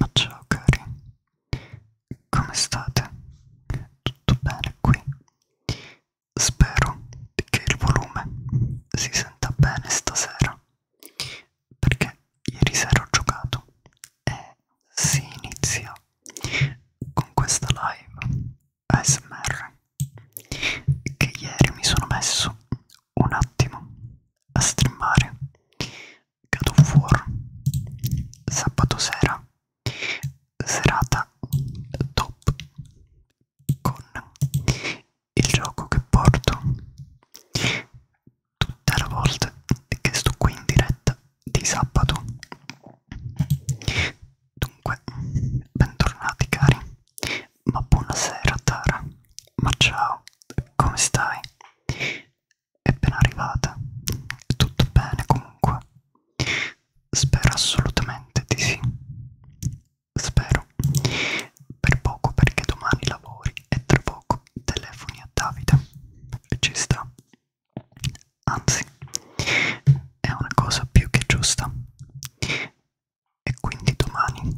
Ma ciao cari, come state? Tutto bene qui? Spero che il volume si senta bene stasera, perché ieri sera ho giocato e si inizia con questa live ASMR che ieri mi sono messo un attimo a streamare God of War sabato sera serata top con il gioco che porto tutte le volte che sto qui in diretta di sabato dunque bentornati cari ma buonasera Tara, ma ciao, come stai? È appena arrivata, tutto bene comunque. Spero assolutamente di sì. Spero. Per poco perché domani lavori e tra poco telefoni a Davide. Ci sta. Anzi, è una cosa più che giusta e quindi domani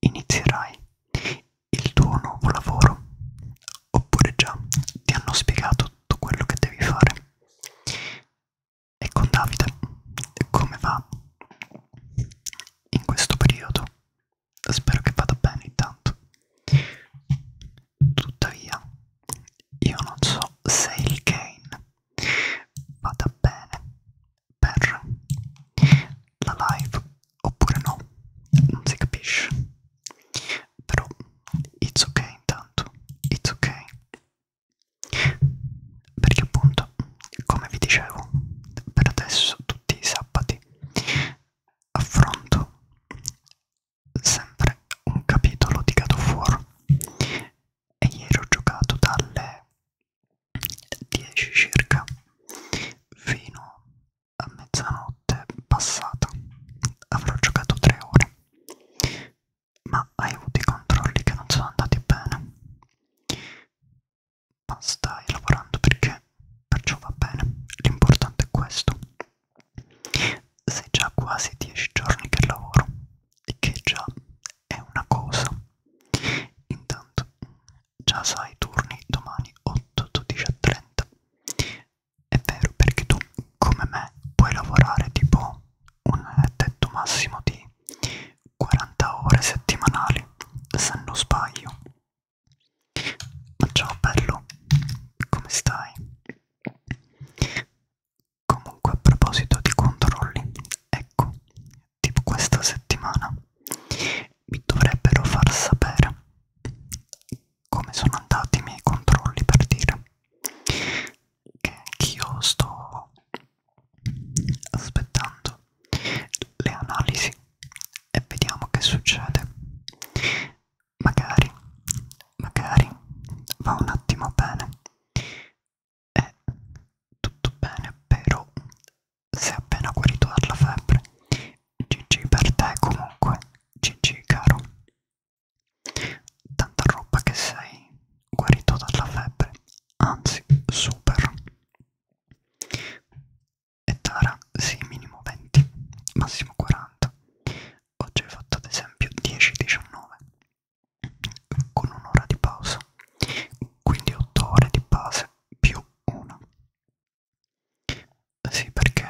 inizierai il tuo nuovo lavoro oppure già ti hanno spiegato tutto quello che devi fare e con Davide come va in questo periodo spero che vada bene intanto tuttavia io non so se il gain vada bene per la live oppure no, non si capisce, però it's ok intanto, it's ok, perché appunto, come vi dicevo, per adesso tutti i sabati affronto sempre un capitolo di God of War e ieri ho giocato dalle 10 circa fino a mezzanotte passata avrò giocato 3 ore ma hai avuto i controlli che non sono andati bene ma stai lavorando perché perciò va bene l'importante è questo sei già quasi 10 giorni che lavoro e che già è una cosa intanto già sai turni domani 8, 12 e 30. È vero perché tu come me puoi lavorare tipo un tetto massimo di 40 ore settimanali se non sbaglio. Ma ciao bello, come stai? Comunque a proposito di controlli, ecco, tipo questa settimana mi dovrebbero far sapere come sono andati i miei controlli per dire che io sto aspettando le analisi e vediamo che succede magari magari va un attimo bene è tutto bene però si è appena guarito dalla febbre. GG per te comunque, GG caro. Tanta roba che sei guarito dalla febbre, anzi super. E Tara, sì, minimo 20, massimo 40. Oggi hai fatto ad esempio 10-19 con un'ora di pausa, quindi 8 ore di base più uno sì perché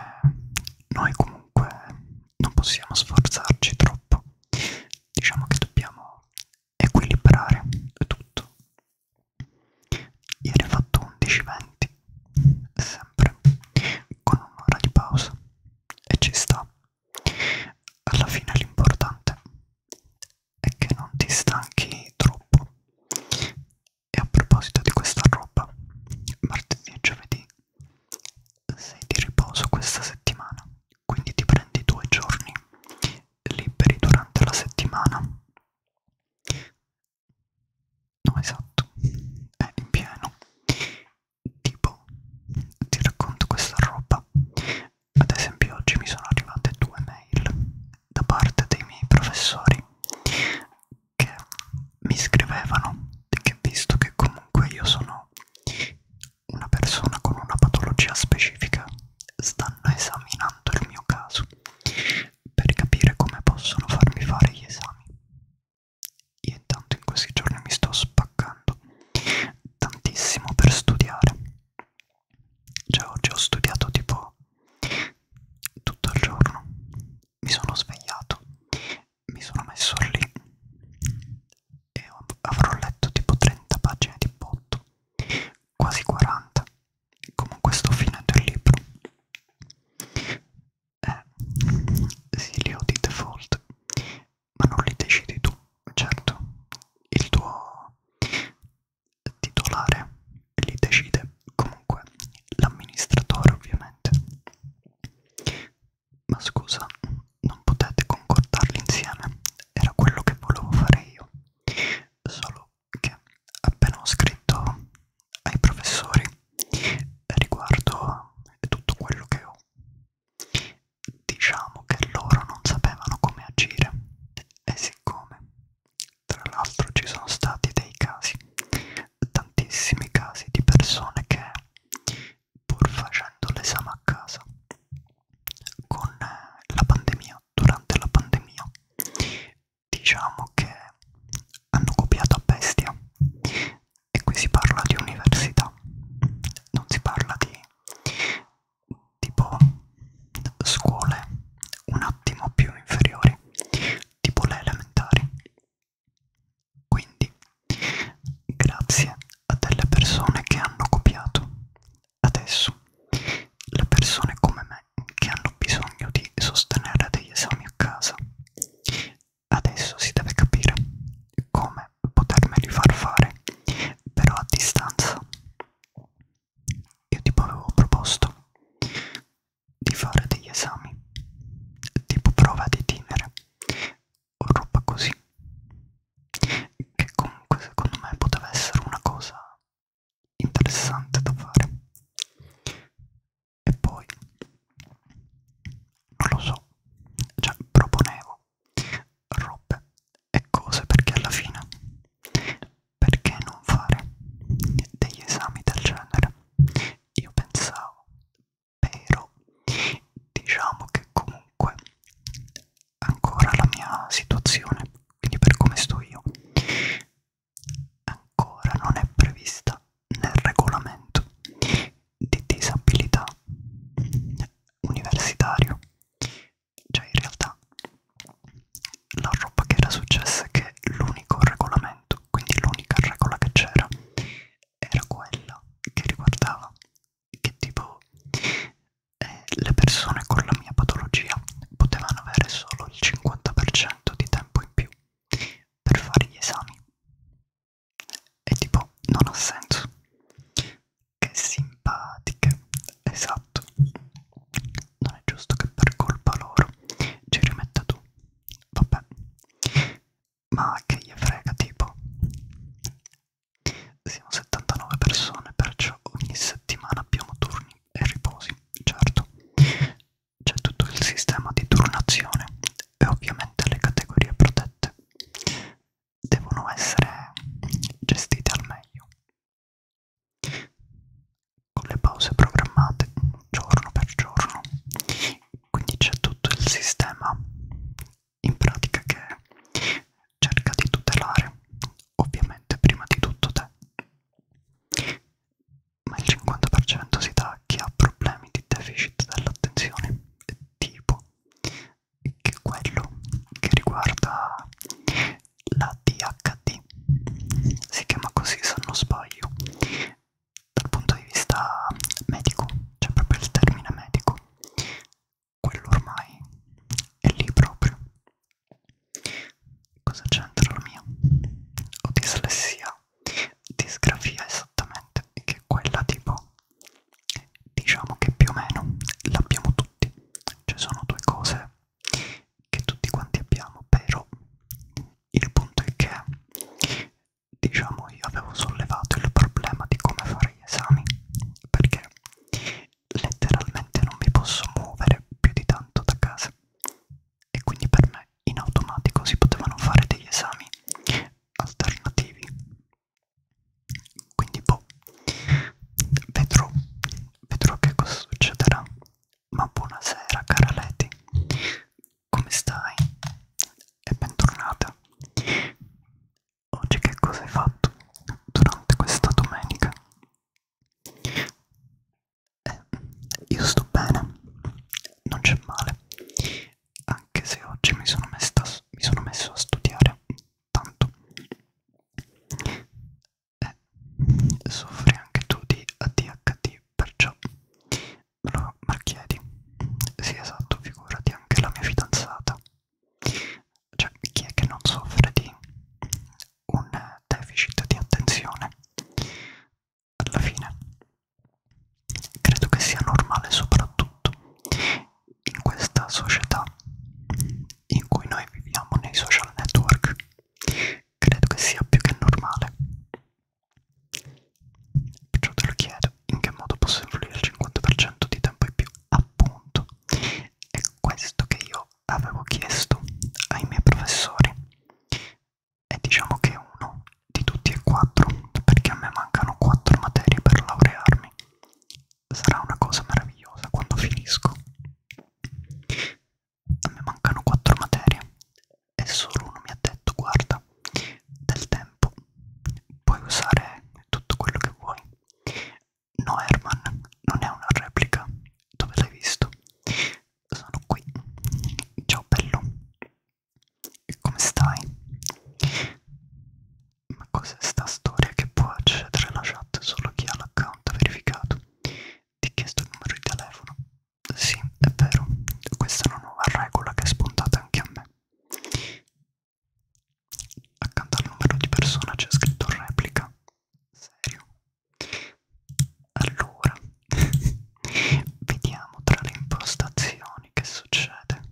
noi comunque non possiamo sforzarci troppo diciamo che dobbiamo equilibrare tutto ieri ho fatto 11.20 sempre con un'ora di pausa e ci sta alla fine l'importante e che non ti stanchi troppo. E a proposito di questa roba, martedì e giovedì sei di riposo questa settimana, quindi ti prendi due giorni liberi durante la settimana. No, esatto, è in pieno. Tipo, ti racconto questa roba. Ad esempio, oggi mi sono arrivate due mail da parte dei miei professori che mi scrivevano che visto che comunque io sono una persona con una patologia specifica stanno esaminando il mio caso per capire come possono farmi fare gli esami io intanto in questi giorni mi sto spaccando tantissimo per studiare cioè oggi ho studiato tipo tutto il giorno, mi sono svegliato, mi sono messo lì e avrò letto tipo 30 pagine di botto, quasi 40, comunque sto finendo il libro. Eh, sì, li ho di default, ma non li decidi tu, certo, il tuo titolare li decide comunque l'amministratore ovviamente ma scusa non potete concordarli insieme era quello che volevo fare io solo che appena ho scritto ai professori riguardo a tutto quello che ho diciamo che loro non sapevano come agire e siccome tra l'altro ci sono stati dei casi, tantissimi casi di persone che pur facendo l'esame a casa con la pandemia, durante la pandemia, diciamo che hanno copiato a bestia e qui si parla di università, non si parla di tipo scuole un attimo più inferiori, tipo le elementari. Quindi, grazie a delle persone che hanno copiato, adesso le persone come me che hanno bisogno di sostenere degli esami a casa, adesso si deve capire come potermeli far fare, però a distanza io tipo avevo proposto di fare degli esami tipo prova di itinere o roba così che comunque secondo me poteva essere una cosa interessante da fare e poi non lo so cioè proponevo robe e cose perché alla fine perché non fare degli esami del genere? Io pensavo, però diciamo che comunque ancora la mia situazione, quindi per come sto io, ancora non è prevista nel regolamento di disabilità universitario. Cioè in realtà la roba che era successa è che l'unico regolamento, quindi l'unica regola che c'era, era quella che riguardava che tipo eh, le persone con la mia patologia potevano avere solo il 50% di tempo in più per fare gli esami. E tipo non ha senso. Che simpatiche, esatto non è giusto che per colpa loro ci rimetta tu. Vabbè, ma che gli frega tipo. Siamo 79 persone, perciò ogni settimana abbiamo turni e riposi, certo. C'è tutto il sistema di turnazione e ovviamente le categorie protette devono essere gestite al meglio con le pause programmate giorno per giorno quindi c'è tutto il sistema in pratica che cerca di tutelare ovviamente prima di tutto te ma il 50% si dà a chi ha problemi di deficit dell'attenzione tipo che è quello che riguarda la DHD, si chiama così se non sbaglio, dal punto di vista medico, cioè proprio il termine medico, quello ormai è lì proprio. Cosa c'entra la mia? Ho dislessia, disgrafia esattamente, che è quella tipo, diciamo che più o meno l'abbiamo tutti, ci sono due cose che tutti quanti abbiamo, però il punto è che diciamo io avevo sollevato il problema di come fare gli esami perché letteralmente non mi posso muovere più di tanto da casa e quindi per me in automatico si potevano fare degli esami alternativi quindi boh vedrò vedrò che cosa succederà ma buonasera cara Leti, come stai? E bentornata. Oggi che cosa hai fatto durante questa domenica? Eh, io sto bene, non c'è male, anche se oggi mi sono, messa, mi sono messo a studiare tanto eh, soffri anche tu di ADHD, perciò me lo marchiedi. Sì, esatto, figurati anche la mia fidanzata. Cioè, chi è che non soffre di un deficit di attenzione? Alla fine, credo che sia normale soprattutto in questa società in cui noi viviamo nei social network credo che sia più che normale. Perciò te lo chiedo, in che modo posso influire il 50% di tempo in più? Appunto, è questo che io avevo chiesto ai miei professori. E diciamo che uno di tutti e quattro, perché a me mancano quattro materie per laurearmi. Sarà una cosa meravigliosa quando finisco a me mancano quattro materie e solo uno mi ha detto guarda del tempo puoi usare tutto quello che vuoi no Herman non è una replica dove l'hai visto sono qui ciao bello e come stai ma cos'è sta storia che può accedere alla chat solo chi ha l'account verificato ti chiesto il numero di telefono sì, è vero, questa è una nuova regola che è spuntata anche a me. Accanto al numero di persona c'è scritto replica. Serio? Allora, vediamo tra le impostazioni che succede.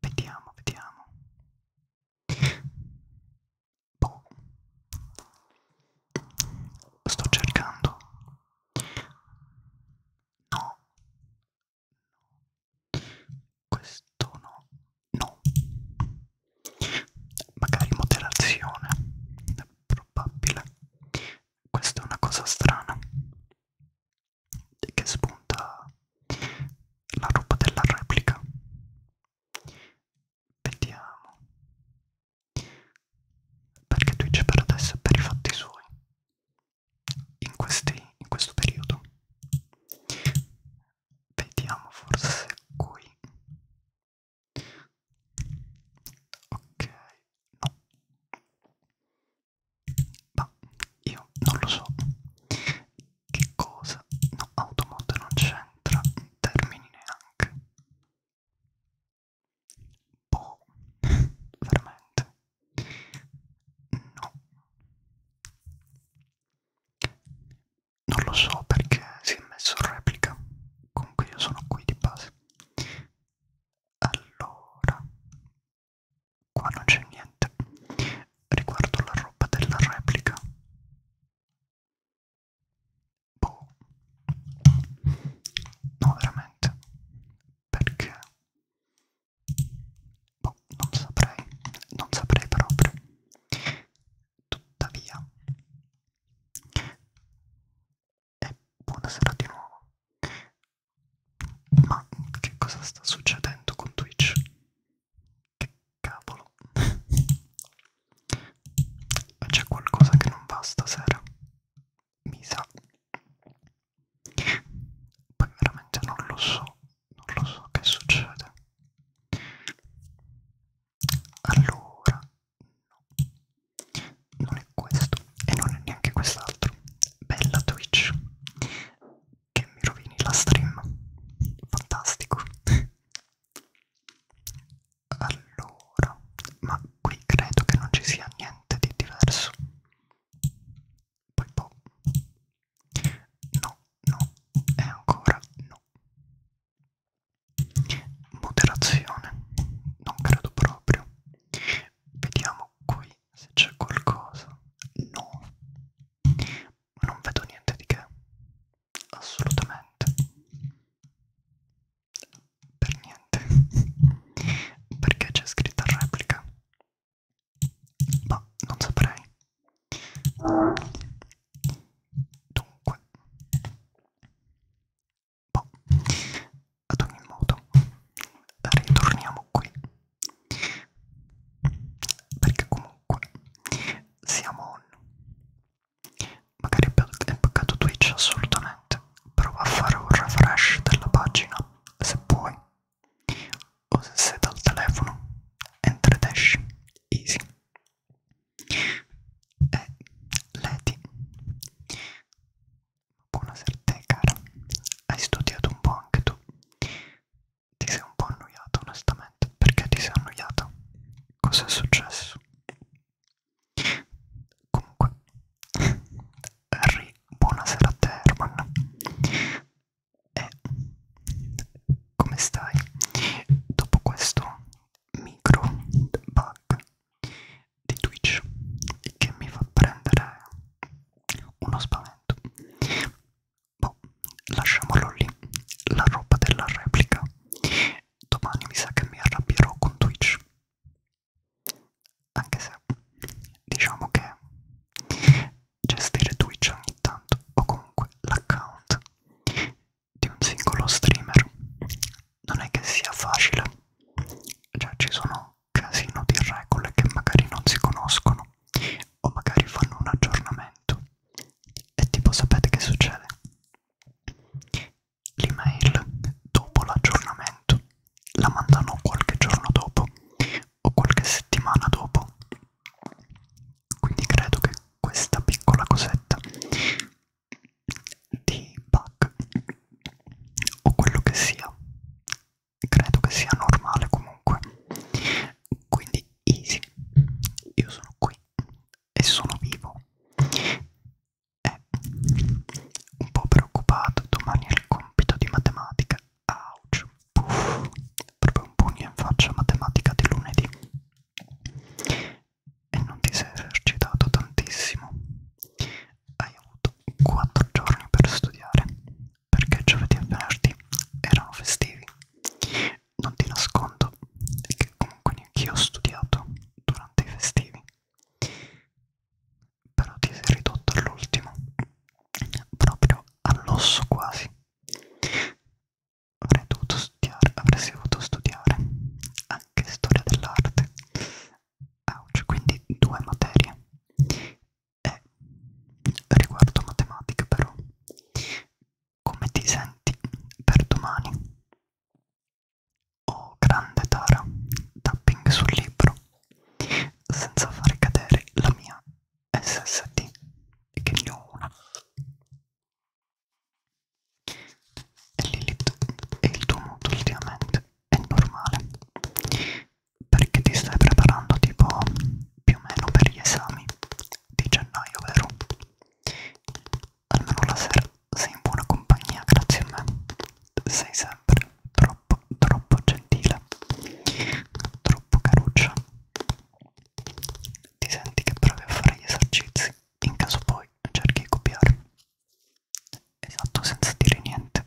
Vediamo, vediamo boh, sto cercando no questo no no magari moderazione è probabile questa è una cosa strana che spunta la roba della replica Vediamo. Perché Twitch per adesso è per i fatti suoi. In, questi, in questo periodo. Vediamo forse qui. Ok, no. Ma io non lo so. Che cosa? No, automod non c'entra. Termini neanche. Boh, veramente. No. Non lo so perché si è messo in replica. Comunque io sono qui di base. Allora, qua non c'è niente. Riguardo la roba della replica boh, no veramente, perché, boh, non saprei, non saprei proprio, tuttavia, e buonasera di nuovo, ma che cosa sta succedendo con Twitch? Che cavolo c'è qualcosa che non va stasera. Mi sa. Poi veramente non lo so, non lo so che succede. Allora, no. Non è questo e non è neanche quest'altro. Bella Twitch. Che mi rovini la stream. Fantastico. Allora, ma qui credo che non ci sia niente di diverso. Poi boh. No, no, e ancora no. Moderazione, non credo proprio. Vediamo qui se c'è qualcosa. No, non vedo niente di che. Assolutamente per niente perché c'è scritta replica ma boh, non saprei dunque boh. ad ogni modo ritorniamo qui perché comunque siamo on Magari hai pagato Twitch assolutamente. Prova a fare un refresh della pagina se puoi. O se sei dal telefono, entra ed esci. Easy. E Leti. Buonasera a te cara. Hai studiato un po' anche tu. Ti sei un po' annoiata onestamente. Perché ti sei annoiata? Cos'è successo? Comunque, Harry, buonasera a te Herman. E eh, come stai? Dopo questo micro bug di Twitch che mi fa prendere uno spavento. Boh, lasciamolo lì, la roba della replica. Domani mi sa che mi arrabbierò con Twitch anche se diciamo che gestire Twitch ogni tanto o comunque l'account di un singolo streamer non è che sia facile, cioè ci sono casino di regole che magari non si conoscono o magari fanno un aggiornamento e tipo sapete che succede? L'email dopo l'aggiornamento la mandano qualche giorno dopo o qualche settimana dopo. Quindi credo che questa piccola cosetta di bug o quello che sia, credo che sia normale comunque. Quindi easy, io sono qui e sono vivo è eh, un po' preoccupato, domani è il compito di matematica. Ouch, puff, proprio un pugno in faccia matematica di lunedì. E non ti sei esercitato tantissimo. Hai avuto 4 giorni per studiare, perché giovedì e venerdì erano festivi. Non ti nascondo che comunque neanche io ho studiato durante i festivi però ti sei ridotto all'ultimo proprio all'osso quasi avrei dovuto studiare avresti dovuto studiare anche storia dell'arte Ouch, quindi due materie e riguardo matematica però come ti senti per domani Oh grande Tara, tapping sul libro, senza far cadere la mia SSD, che ne ho una. E Lilith, e il tuo mood ultimamente è normale, perché ti stai preparando tipo più o meno per gli esami di gennaio, vero? almeno la sera sei in buona compagnia grazie a me sei sempre troppo troppo gentile troppo caruccia ti senti che provi a fare gli esercizi in caso poi cerchi di copiare esatto senza dire niente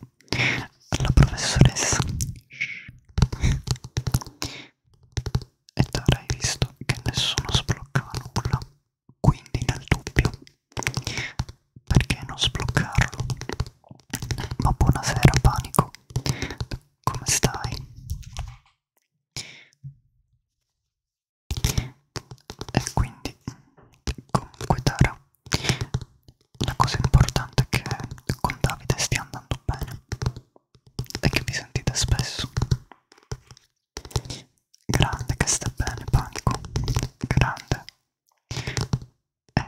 la professoressa e tu hai visto che nessuno sbloccava nulla quindi nel dubbio, perché non sbloccarlo? Ma buonasera panico, come stai? E quindi, comunque Tara, la cosa importante è che con Davide stia andando bene e che vi sentite spesso. Grande che sta bene, panico. Grande, eh,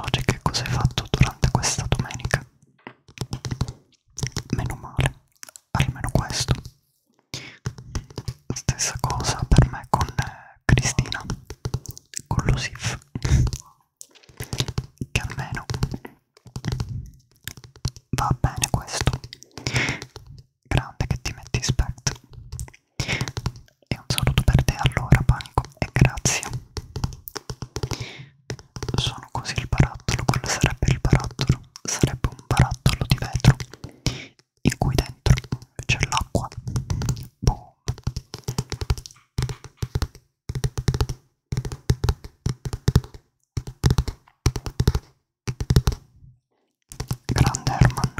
oggi che cosa hai fatto durante questa domenica? Meno male, almeno questo. Stessa cosa per me con eh, Cristina, con lo SIF, che almeno va bene questo grande che ti metti spect e un saluto per te allora panico e grazie sono così il barattolo quello sarebbe il barattolo sarebbe un barattolo di vetro in cui dentro c'è l'acqua boom Grande Herman,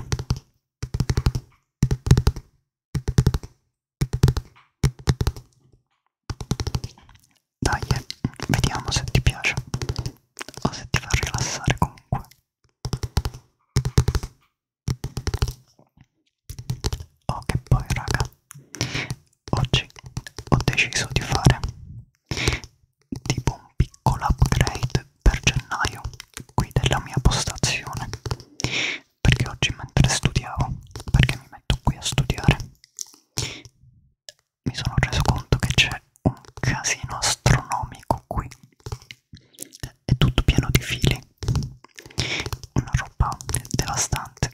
dai, eh, vediamo se ti piace o se ti fa rilassare comunque. Oh che poi raga, oggi ho deciso di fare tipo un piccolo upgrade per gennaio qui della mia postazione perché oggi mentre studiavo perché mi metto qui a studiare mi sono reso conto che c'è un casino astronomico qui è tutto pieno di fili una roba devastante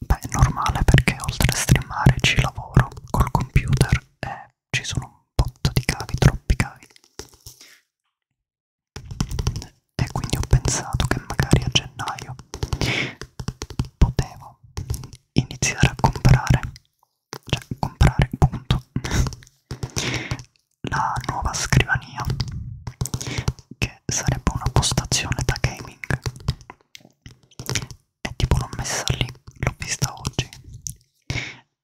beh è normale perché oltre a streamare ci lavoro col computer e ci sono un botto di cavi, troppi cavi e quindi ho pensato che magari a gennaio potevo iniziare a comprare cioè comprare punto la nuova scrivania che sarebbe una postazione da gaming e tipo l'ho messa lì l'ho vista oggi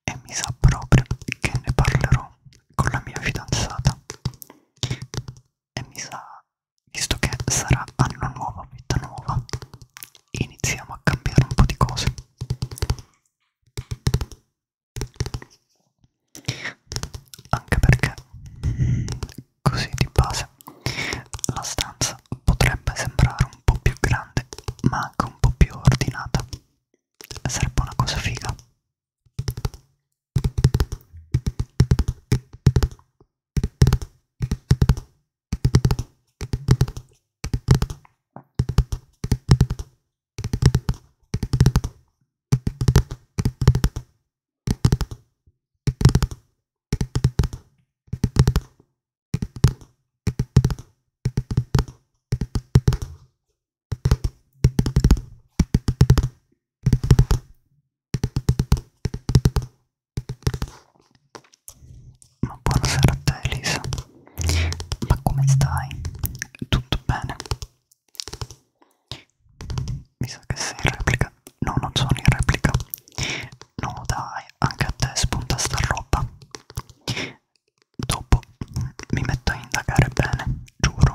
e mi sa proprio che ne parlerò con la mia fidanzata e mi sa visto che sarà anno nuovo vita nuova iniziamo a cambiare un po' di cose anche perché così di base la stanza potrebbe sembrare un po' più grande ma anche un po' più ordinata sarebbe una cosa figa ma buonasera a te Elisa, ma come stai? Tutto bene? Mi sa che sei in replica, no non sono in replica, no dai, anche a te spunta sta roba dopo mi metto a indagare bene, giuro.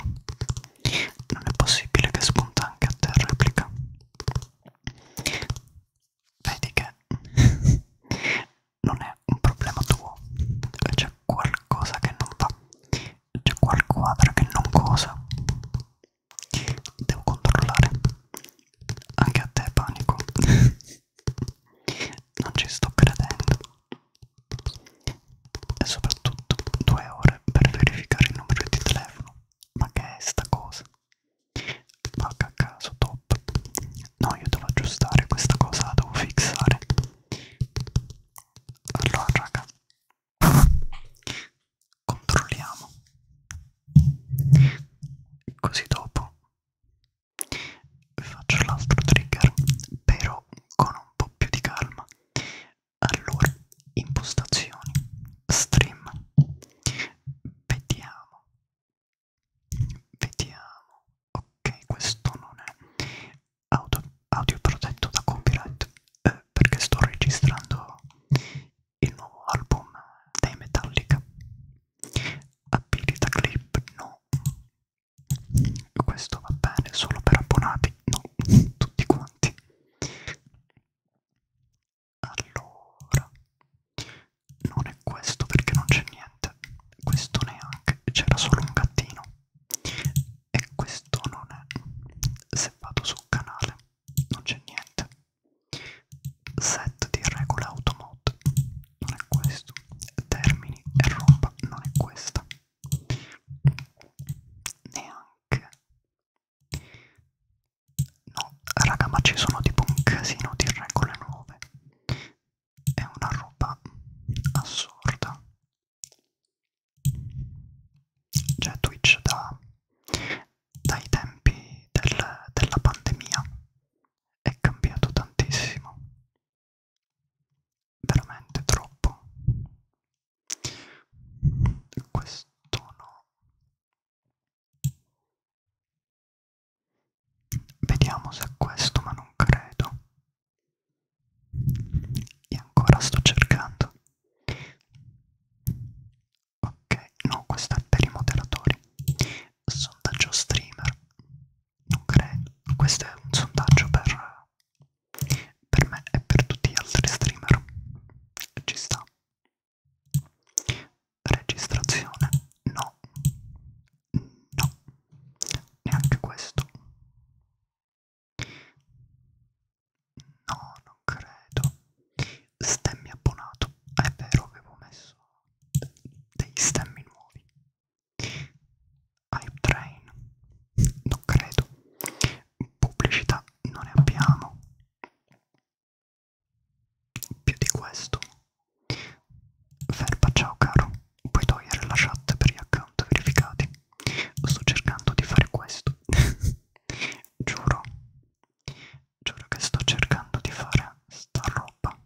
Non è possibile che spunta anche a te replica. Vedi che non è un problema tuo, c'è qualcosa che non va, c'è qualquadra che non cosa. Devo controllare. Anche a te panico non ci sto credendo e soprattutto due ore per verificare il numero di telefono ma che è sta cosa vacca a caso top no io devo aggiustare questa cosa la devo fissare allora raga controlliamo così dopo faccio l'altro trigger però con un po' più di calma allora impostazioni stream vediamo vediamo ok questo non è audio, audio protetto da copyright eh, perché sto registrando il nuovo album dei Metallica abilita clip no questo va bene solo per abbonati no tutti quanti allora non è questo perché non c'è niente questo neanche c'era solo un gattino e questo non è se vado sul canale non c'è niente set di regola automod non è questo, Termini e Roma non è questa, neanche, no raga ma ci sono tipo un casino di regole nuove, è una roba assurda, cioè Twitch da, dai tempi del, della pandemia è cambiato tantissimo veramente troppo questo no vediamo se è questo ma non credo e ancora sto cercando ok no questo è per i moderatori sondaggio streamer non credo. Questo è un sondaggio per, per me e per tutti gli altri streamer. Ci sta. Registrazione? No. No. Neanche questo. No, non credo. Stemmi abbonato. È vero, avevo messo degli stemmi nuovi. Hype Train, non credo. Pubblicità non ne abbiamo. Più di questo. Verba, ciao caro. Puoi togliere la chat per gli account verificati. Sto cercando di fare questo. giuro. Giuro che sto cercando di fare sta roba.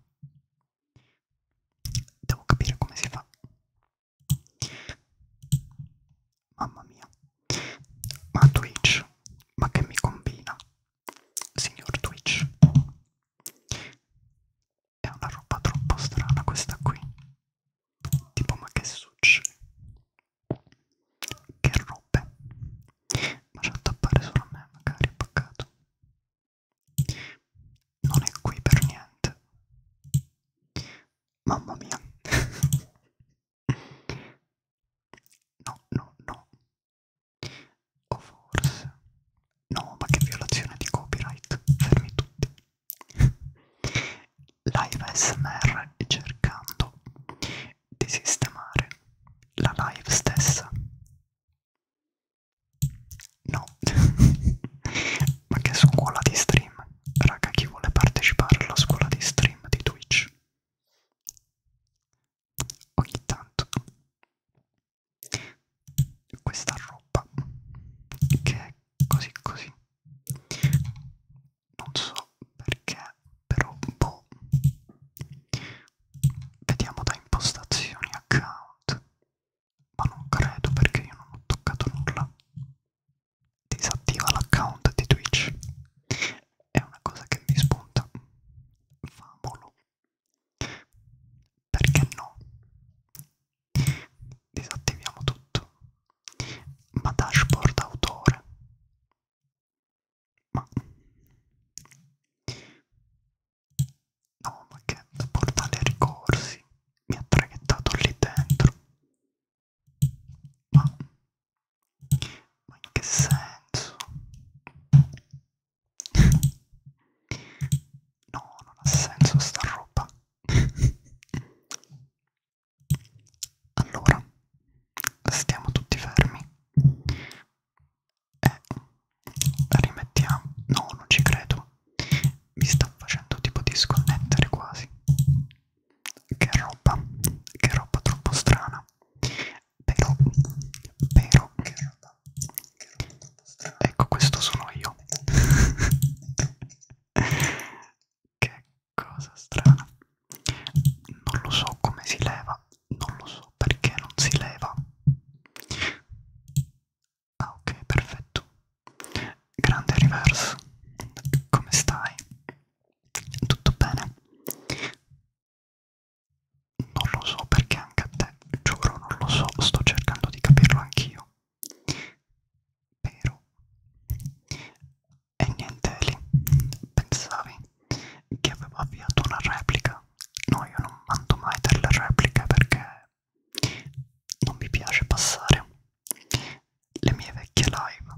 Devo capire come si fa. Mamma mia. Ma Twitch, ma che mi combina? Signor Twitch. È una roba troppo strana questa qui. Tipo ma che succede? Che robe. Ma c'è da tappare solo a me, magari è paccato non è qui per niente mamma mia no no no o forse no ma che violazione di copyright fermi tutti live smr cercando di sistemare la live stessa No, ma che scuola di stream? Raga, chi vuole partecipare alla scuola di stream di Twitch? Ogni tanto questa roba che è così così non so perché però boh vediamo da impostazioni account ma non credo perché io non ho toccato nulla. Disattiva l'account di Twitch. È una cosa che mi spunta. Famolo. Perché no? Disattiviamo tutto. Ma dashboard autore. Ma No, ma che portale ricorsi mi ha traghettato lì dentro. Ma, ma in che senso? No, non ha senso sta roba. Allora, stiamo tutti fermi. E rimettiamo. No, non ci credo mi sta facendo tipo disconnettere quasi che roba che roba troppo strana però però che roba, che roba troppo strana ecco questo sono io che cosa strana non lo so come si leva non lo so perché non si leva Ah ok, perfetto. Grande reverse, come stai? Tutto bene? Non lo so perché anche a te, giuro, non lo so, sto cercando di capirlo anch'io. Però... E niente Eli, pensavi che avevo avviato una replica? No, io non mando mai delle repliche perché non mi piace passare le mie vecchie live,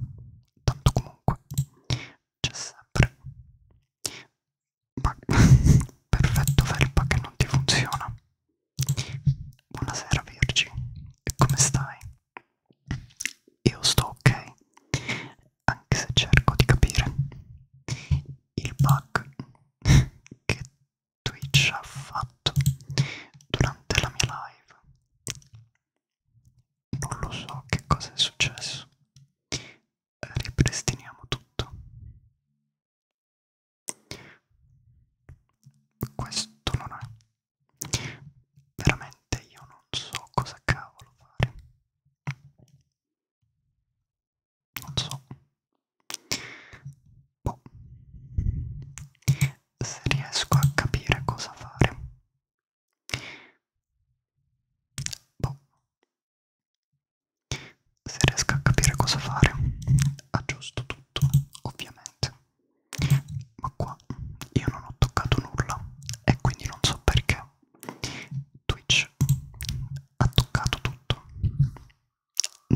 tanto comunque c'è sempre. Ma perfetto felpa che non ti funziona. Buonasera Virgi, come stai? Io sto ok, anche se cerco di capire il bug che Twitch ha fatto durante la mia live. Non lo so che cosa è successo. Ripristiniamo tutto. Questo non è. Veramente io non so cosa cavolo fare. Non so boh. se riesco a capire cosa fare boh. se riesco a capire cosa fare aggiusto tutto ovviamente ma qua io non ho toccato nulla e quindi non so perché Twitch ha toccato tutto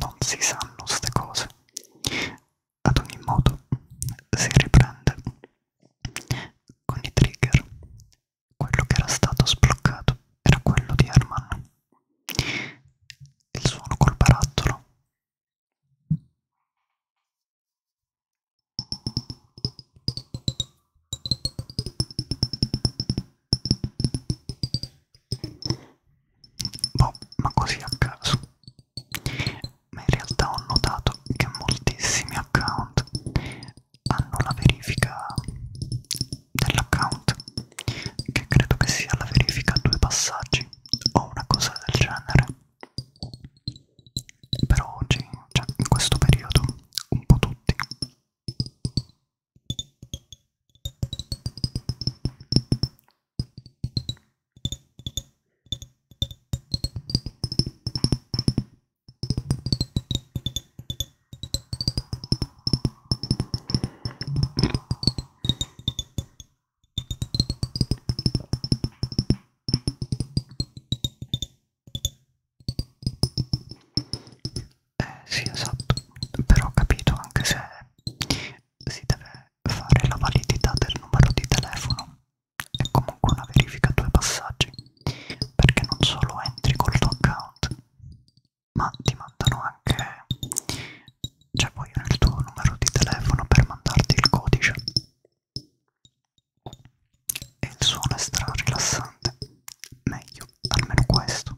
non si sanno ste cose. Ad ogni modo si riprende con i trigger. Quello che era stato sbloccato era quello di Herman. Il suono col barattolo boh, ma così a caso ma in realtà ho notato che moltissimi account hanno la verifica dell'account che credo che sia la verifica a due passaggi o una cosa del genere però oggi cioè in questo periodo un po' tutti eh sì esatto, però ho capito anche se si deve fare la validità del numero di telefono è comunque una verifica a due passaggi perché non solo entri col tuo account ma ti mandano anche cioè vogliono il tuo numero di telefono per mandarti il codice e il suono è stra rilassante meglio almeno questo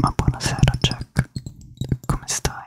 Ma buonasera Jack, come stai?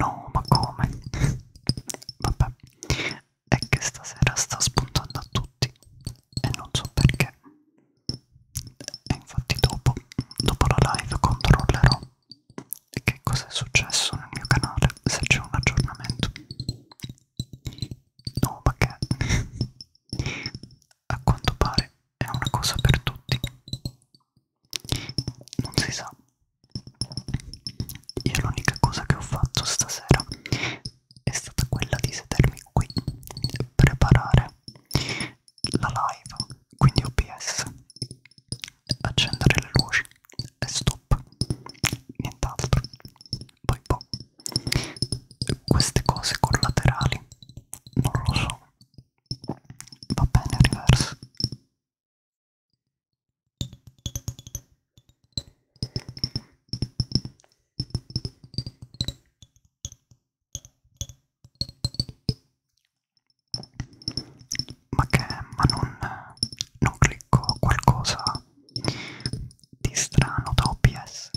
No, ma come? Vabbè, è che stasera sta spuntando a tutti e non so perché. E infatti dopo, dopo la live controllerò che cosa è successo nel mio canale, se c'è un aggiornamento. No, ma che a quanto pare è una cosa per tutti non si sa io l'unica cosa che ho fatto stasera è stata quella di sedermi qui preparare la live quindi OBS accendere le luci e stop nient'altro poi boh queste cose collaterali non lo so va bene reverse ma che? Ma non, non clicco qualcosa di strano da OBS?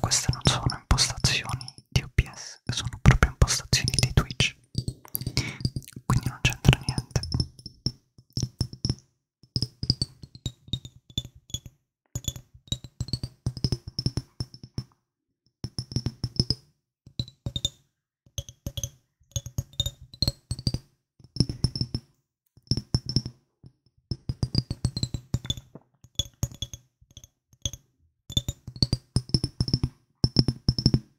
Queste non sono impostazioni di OBS, sono proprio impostazioni di Twitch quindi non c'entra niente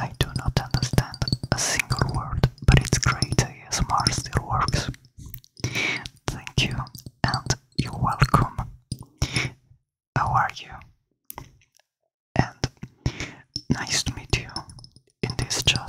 I do not understand a single word, but it's great Yes, ASMR still works. Thank you, and you're welcome. How are you? And nice to meet you in this chat.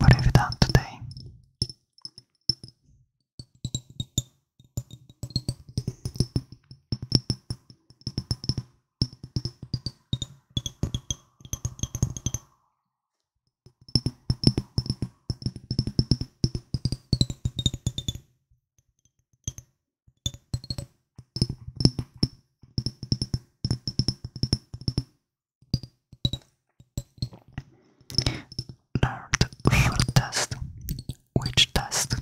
what have you done today? Alert for test. Which test?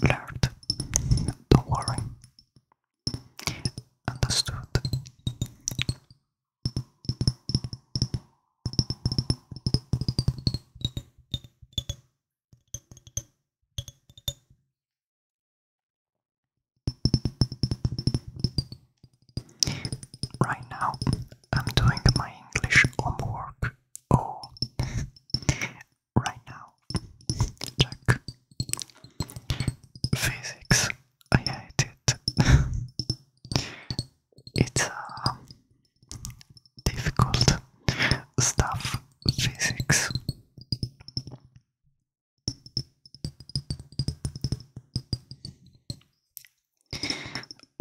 Learned. Don't worry. Understood. Right now, I'm doing my English homework. Oh, right now, check physics. I hate it. it's a uh, difficult stuff, physics.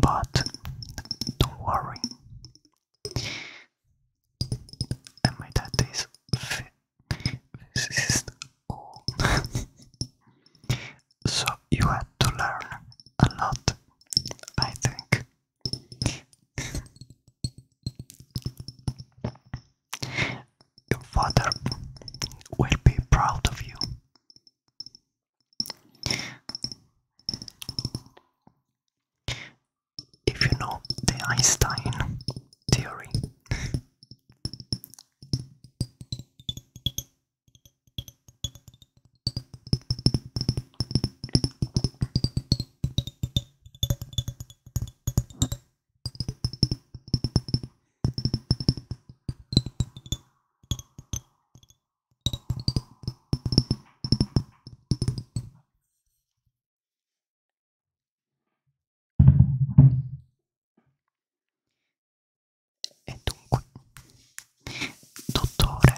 But don't worry, and my dad is physicist so you had to learn a lot, I think. Your father will be proud of you. If you know the Einstein theory, E dunque, dottore,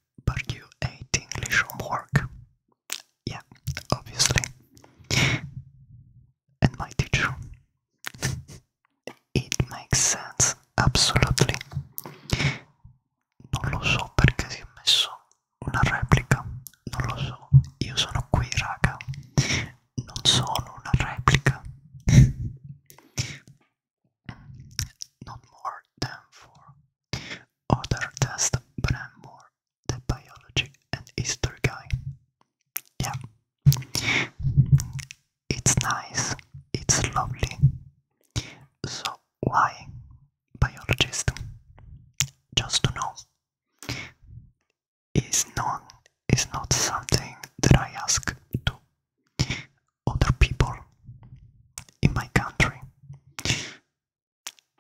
but you hate English homework. Yeah, obviously. And my teacher. It makes sense, absolutely. Non lo so perché si è messo una replica, non lo so. Io sono qui, raga. Non sono una replica. Not more than for other test, but I'm more the biology and Easter guy. Yeah. It's nice, it's lovely. So why biologist? Just to know. Is known is not something that I ask to other people in my country.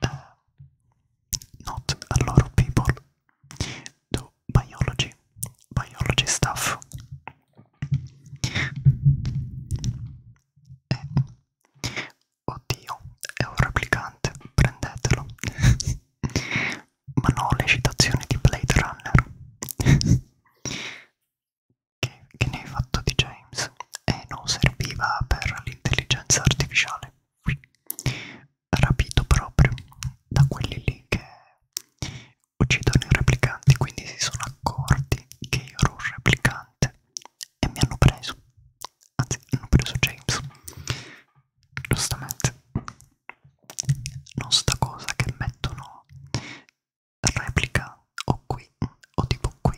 uh, not a lot of people do biology, biology stuff. Eh. Oddio, è un replicante, prendetelo. Ma no, le citazioni di Blade Runner che, che ne hai fatto di James e eh, non serviva per l'intelligenza artificiale. Rapito proprio da quelli lì che uccidono i replicanti, quindi si sono accorti che io ero un replicante e mi hanno preso. Anzi, hanno preso James. Giustamente. Non sta cosa che mettono replica o qui o tipo qui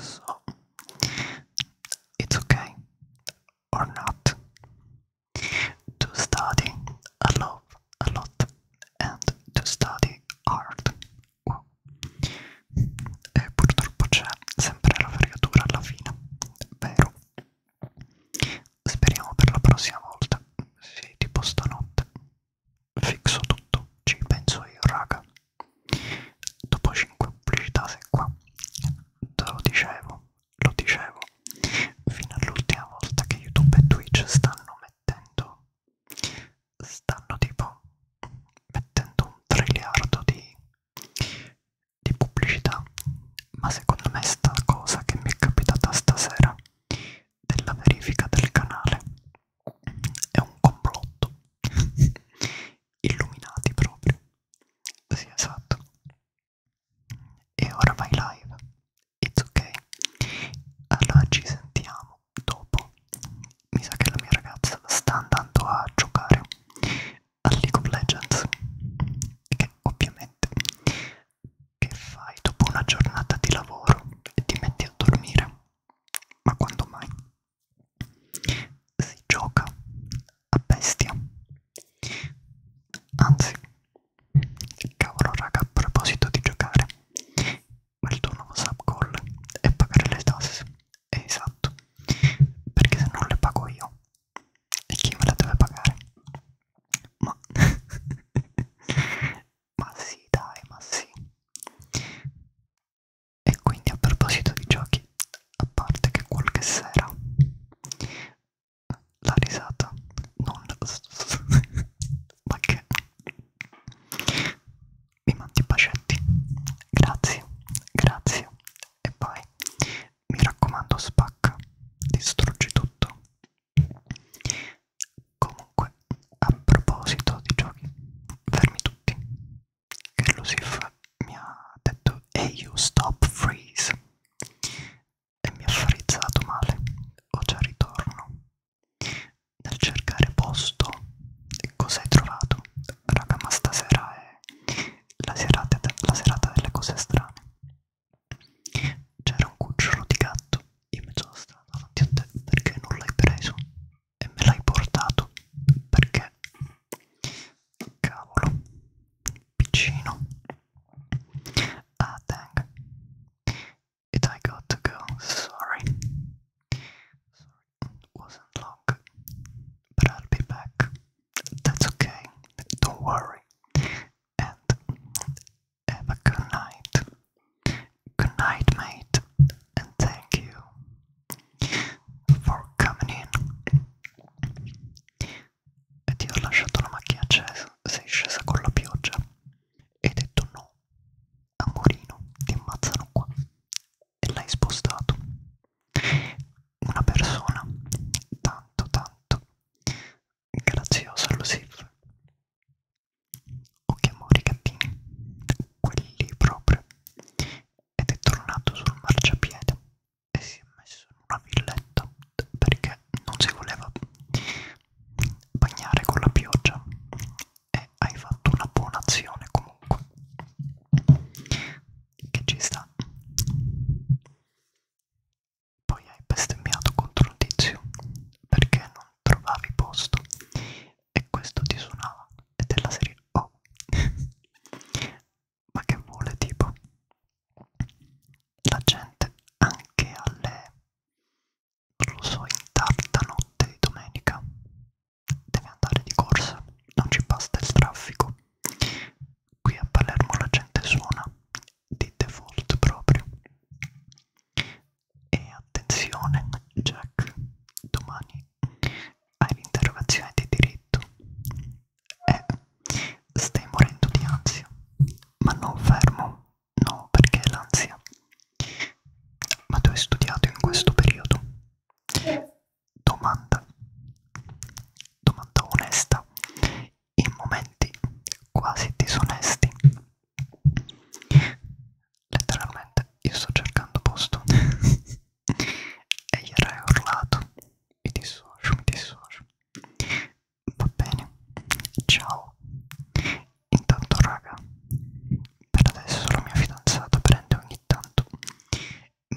So, it's okay or not to study a lot, a lot, and to study hard. Wow. E purtroppo c'è sempre la fregatura alla fine, vero? Speriamo per la prossima volta. Sì, tipo stanotte. Fixo tutto, ci penso io, raga dopo 5 pubblicità sei qua te lo dicevo lo dicevo fino all'ultima volta che youtube e twitch stanno mettendo stanno tipo mettendo un triliardo di, di pubblicità ma secondo me sta cosa che mi è capitata stasera della verifica del canale è un complotto illuminati proprio. Sì, esatto. E ora vai live. It's ok. Allora ci sentiamo dopo. Mi sa che la mia ragazza sta andando a giocare a League of Legends. Che ovviamente che fai dopo una giornata di lavoro e ti metti a dormire. Ma quando mai? si gioca a bestia anzi cavolo raga a proposito di giocare ma il tuo nuovo subcall è pagare le tasse esatto perché se non le pago io e chi me le deve pagare ma ma sì dai ma sì e quindi a proposito di giochi, a parte che qualche sera la risata non ma che mi mandi i bacetti grazie grazie e poi mi raccomando spacca distruggi tutto comunque a proposito di giochi fermi tutti che Lucif mi ha detto Hey you stop freeze e mi ha frizzato male, ho già ritorno. Nel cercare posto, cosa hai trovato? Raga, ma stasera è la serata, la serata delle cose strane. C'era un cucciolo di gatto in mezzo alla strada davanti a te perché non l'hai preso? And me l'hai portato perché cavolo piccino ah dang it I got to go sorry sorry wasn't long but I'll be back that's okay don't worry and have a good night good night mate and thank you for coming in e ti ho lasciato la macchina accesa, sei scesa con la pioggia e hai detto no, amorino, ti ammazzano qua e l'hai spostato. Una persona tanto tanto graziosa allo Silve. O che amori cattini, quelli proprio ed è tornato sul marciapiede e si è messo in una villetta perché non si voleva bagnare con la pioggia e hai fatto una buona azione comunque che ci sta poi hai bestemmiato contro un tizio perché non trovavi posto e questo ti suonava ed è la serie oh ma che vuole tipo la gente anche alle non lo so in tarda notte di domenica deve andare di corsa non ci basta il traffico qui a Palermo la gente suona di default proprio e attenzione Jack domani hai l'interrogazione di diritto e eh, stai morendo di ansia, ma non fermo, no perché l'ansia, ma tu hai studiato in questo periodo? Domanda, domanda onesta, in momenti quasi disonesti. Letteralmente io sto cercando posto e gli era urlato mi dissocio, mi dissocio va bene, ciao intanto raga per adesso la mia fidanzata prende ogni tanto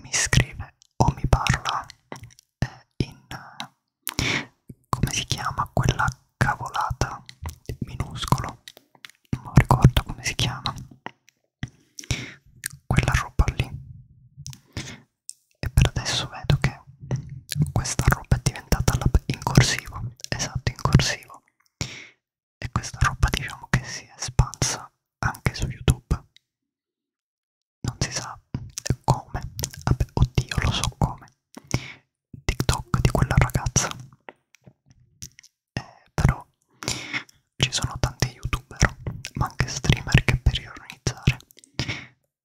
mi scrive o mi parla eh, in eh, come si chiama quella cavolata minuscolo non ricordo come si chiama quella roba lì e per adesso vedo che questa roba è diventata in corsivo esatto in corsivo e questa roba diciamo che si è espansa anche su youtube non si sa come vabbè oddio lo so come tiktok di quella ragazza eh, però ci sono tanti youtuber, ma anche streamer che per ironizzare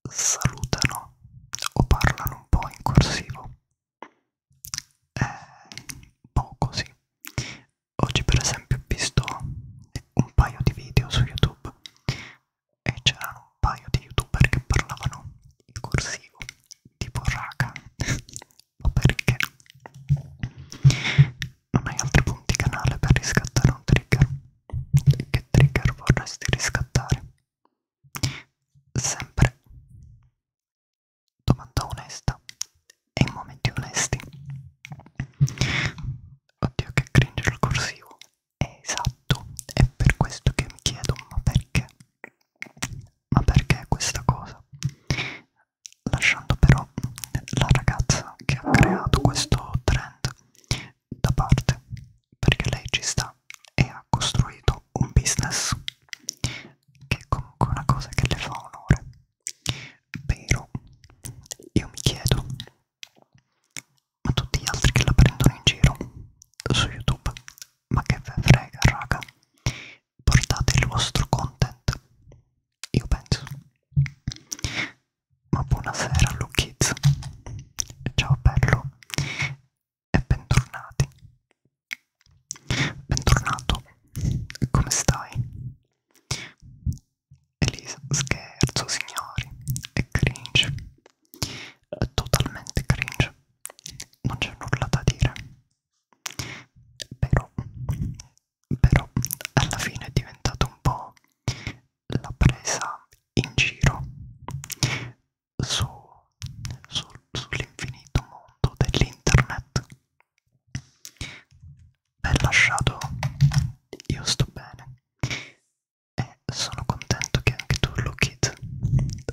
salutano o parlano un po' in corsivo. Eh, poco sì. Oggi per esempio ho visto un paio di video su YouTube e c'erano un paio di youtuber che parlavano in corsivo, tipo raga, ma perché? Non hai altri punti canale per riscattare un trigger? Che trigger vorresti riscattare? Sempre domanda onesta e in momenti onesti. Oddio che cringe il corsivo. È esatto, è per questo che mi chiedo ma perché? Ma perché questa cosa? lasciando però la ragazza che ha creato questo trend da parte perché lei ci sta e ha costruito un business che è comunque una cosa che le fa onore però io mi chiedo ma tutti gli altri che la prendono in giro su youtube ma che ve frega raga portate il vostro content io penso ma buonasera Lu Kids. Ciao bello e bentornati. Bentornato, come stai? Elisa, scherzo signori, è cringe, è totalmente cringe, non c'è nulla da dire, però però alla fine è diventata un po' la presa in giro su, su, sull'infinito mondo dell'internet Beh, lasciato io sto bene e sono contento che anche tu Lookit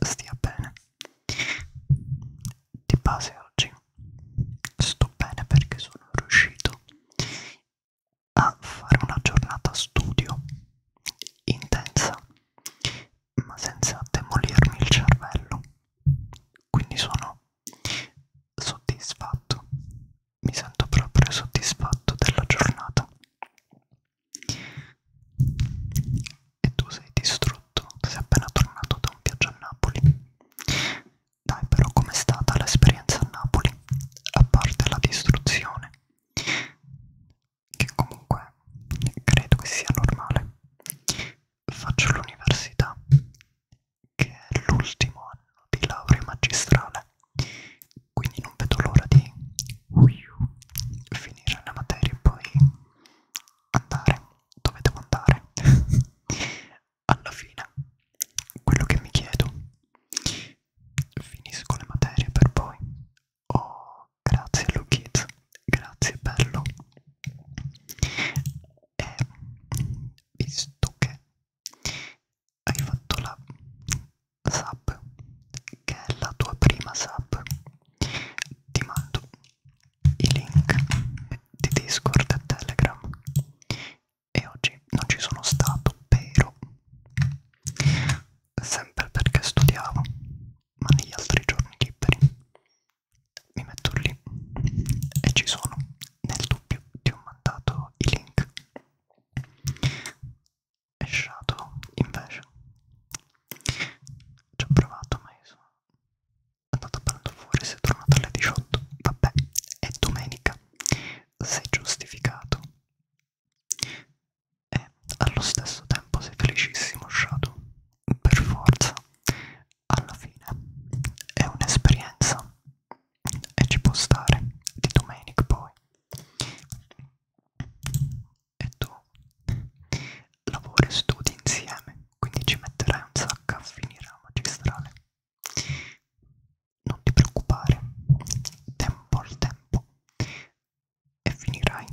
stia bene di base oggi sto bene perché sono riuscito a fare una giornata studio intensa ma senza demolirmi il cervello quindi sono soddisfatto mi sento proprio soddisfatto della giornata e tu sei distrutto sei appena tornato da un viaggio a Napoli dai però com'è stata l'esperienza a Napoli, a parte la distruzione, che comunque credo che sia normale. Faccio l'università, che è l'ultimo anno di laurea magistrale, quindi non vedo l'ora di finire la materia e poi andare dove devo andare alla fine quello che mi chiedo finisco le materie per poi oh grazie Lu Kids grazie bello e visto che hai fatto la sub che è la tua prima sub ti mando i link di Discord e Telegram e oggi non ci sono stato, però sempre perché studiavo, ma negli altri giorni liberi mi metto lì e ci sono. Nel dubbio ti ho mandato i link. E Shadow invece ci ho provato, ma io sono andato a prendere fuori. Si è tornato alle 18. Vabbè, è domenica sei giustificato e allo stesso tempo sei felicissimo Shadow per forza alla fine è un'esperienza e ci può stare di domenica poi e tu lavori e studi insieme quindi ci metterai un sacco a finire la magistrale non ti preoccupare, tempo al tempo e finirai.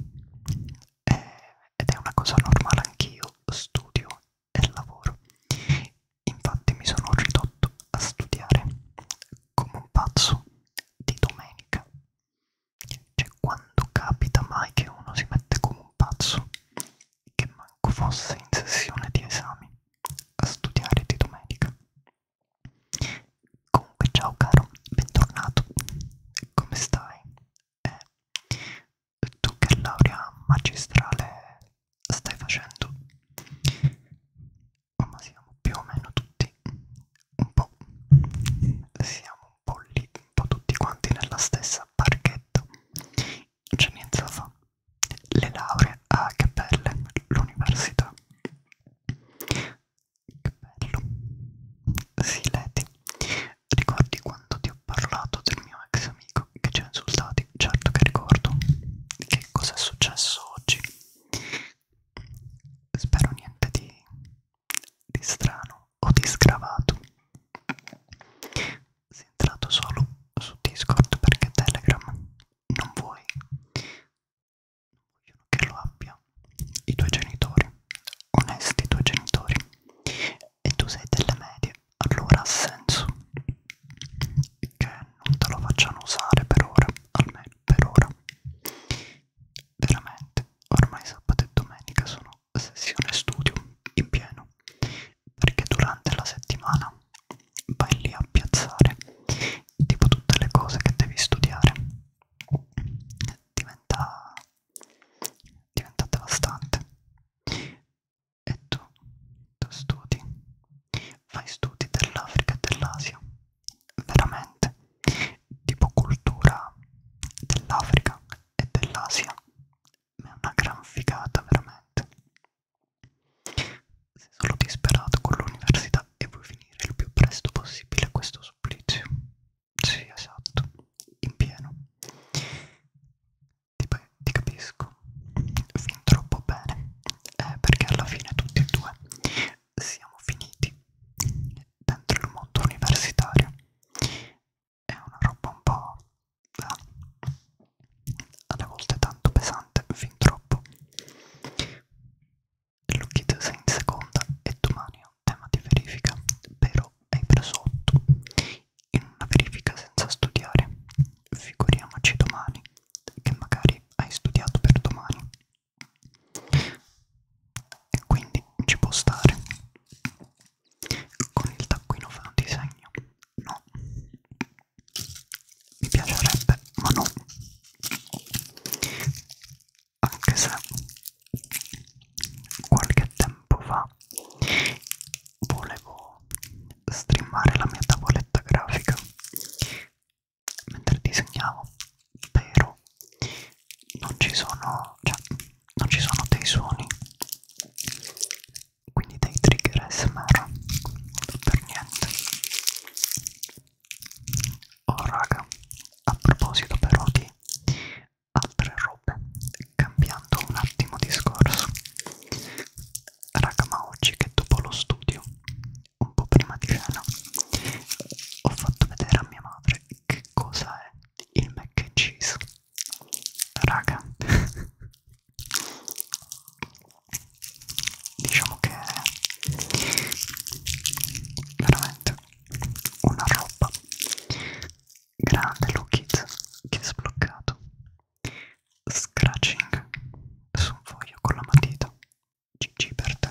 Eh, ed è una cosa normale, anch'io studio e lavoro. Infatti mi sono ridotto a studiare come un pazzo di domenica. Cioè quando capita mai che uno si mette come un pazzo, che manco fosse in sessione di esami, a studiare di domenica. Comunque ciao caro, bentornato, come stai? Eh, tu che laurea magistrale stai facendo? Oh, ma siamo più o meno tutti un po', siamo un po' lì, un po' tutti quanti nella stessa barchetta, non c'è niente da fare le lauree a ah, che belle l'università che bello sì Leti ricordi quando ti ho parlato del mio ex amico che ci ha insultati certo che ricordo che cosa è successo oggi spero niente di, di strano o di sgravato sei entrato solo su Discord perché Telegram non vuoi non vogliono che lo abbia i tuoi genitori, onesti i tuoi genitori, e tu sei delle medie, allora ha senso che non te lo facciano usare per ora, almeno per ora. Veramente, ormai sabato e domenica sono sessione studio in pieno, perché durante la settimana vai lì a piazzare tipo tutte le cose che devi studiare diventa diventa devastante e tu, tu studi fai studi dell'Africa e dell'Asia veramente tipo cultura dell'Africa e dell'Asia è una gran figata veramente sei solo disperato con l'università e vuoi finire il più presto possibile questo supplizio. Sì, esatto, in pieno. Ti, ti capisco fin troppo bene, eh, perché alla fine tutti e due siamo finiti dentro il mondo universitario. È una roba un po'... Eh, alle volte tanto pesante, fin troppo. L'occhio sei in seconda e domani è un tema di verifica, però hai preso 8 in una verifica senza studiare. Figuriamoci domani, che magari hai studiato per domani. E quindi ci può stare. Con il taccuino fa un disegno? No mi piacerebbe ma no anche se qualche tempo fa volevo streamare la mia tavoletta grafica mentre disegnavo però non ci sono cioè non ci sono dei suoni quindi dei trigger smr per niente Oh raga, a proposito però di altre robe, cambiando un attimo discorso. Raga, ma oggi che dopo lo studio, un po' prima di cena, ho fatto vedere a mia madre che cosa è il mac and cheese. Raga diciamo che veramente una roba grande look it che è sbloccato scratching su un foglio con la matita gg per te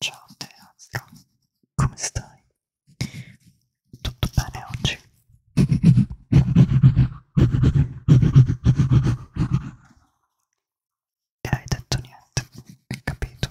Ciao Teastro, come stai? Tutto bene oggi? E hai detto niente, hai capito?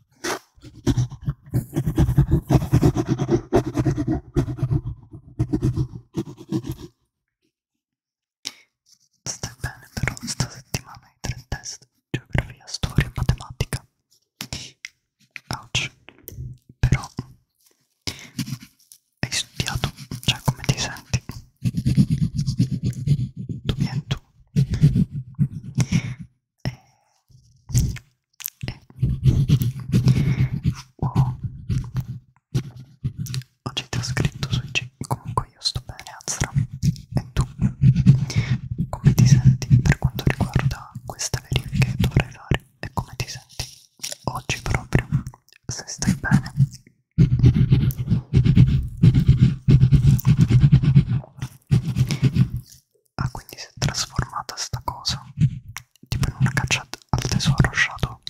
Stai bene però sta settimana hai tre test, geografia, storia e matematica. Ouch. Però hai studiato, cioè come ti senti? Tu vieni tu eh, eh. Wow. Oggi ti ho scritto sui G, comunque io sto bene Azra, e tu? Come ti senti per quanto riguarda queste verifiche che dovrei fare? E come ti senti oggi proprio? Se stai bene? Ah, quindi si è trasformata sta cosa. Tipo in una caccia al tesoro Shadow.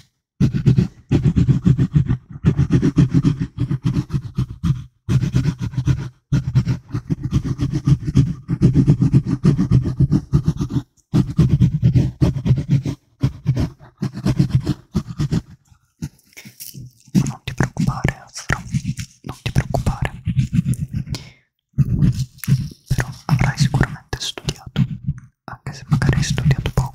Non ti preoccupare, Astro, non ti preoccupare però avrai sicuramente studiato, anche se magari hai studiato poco.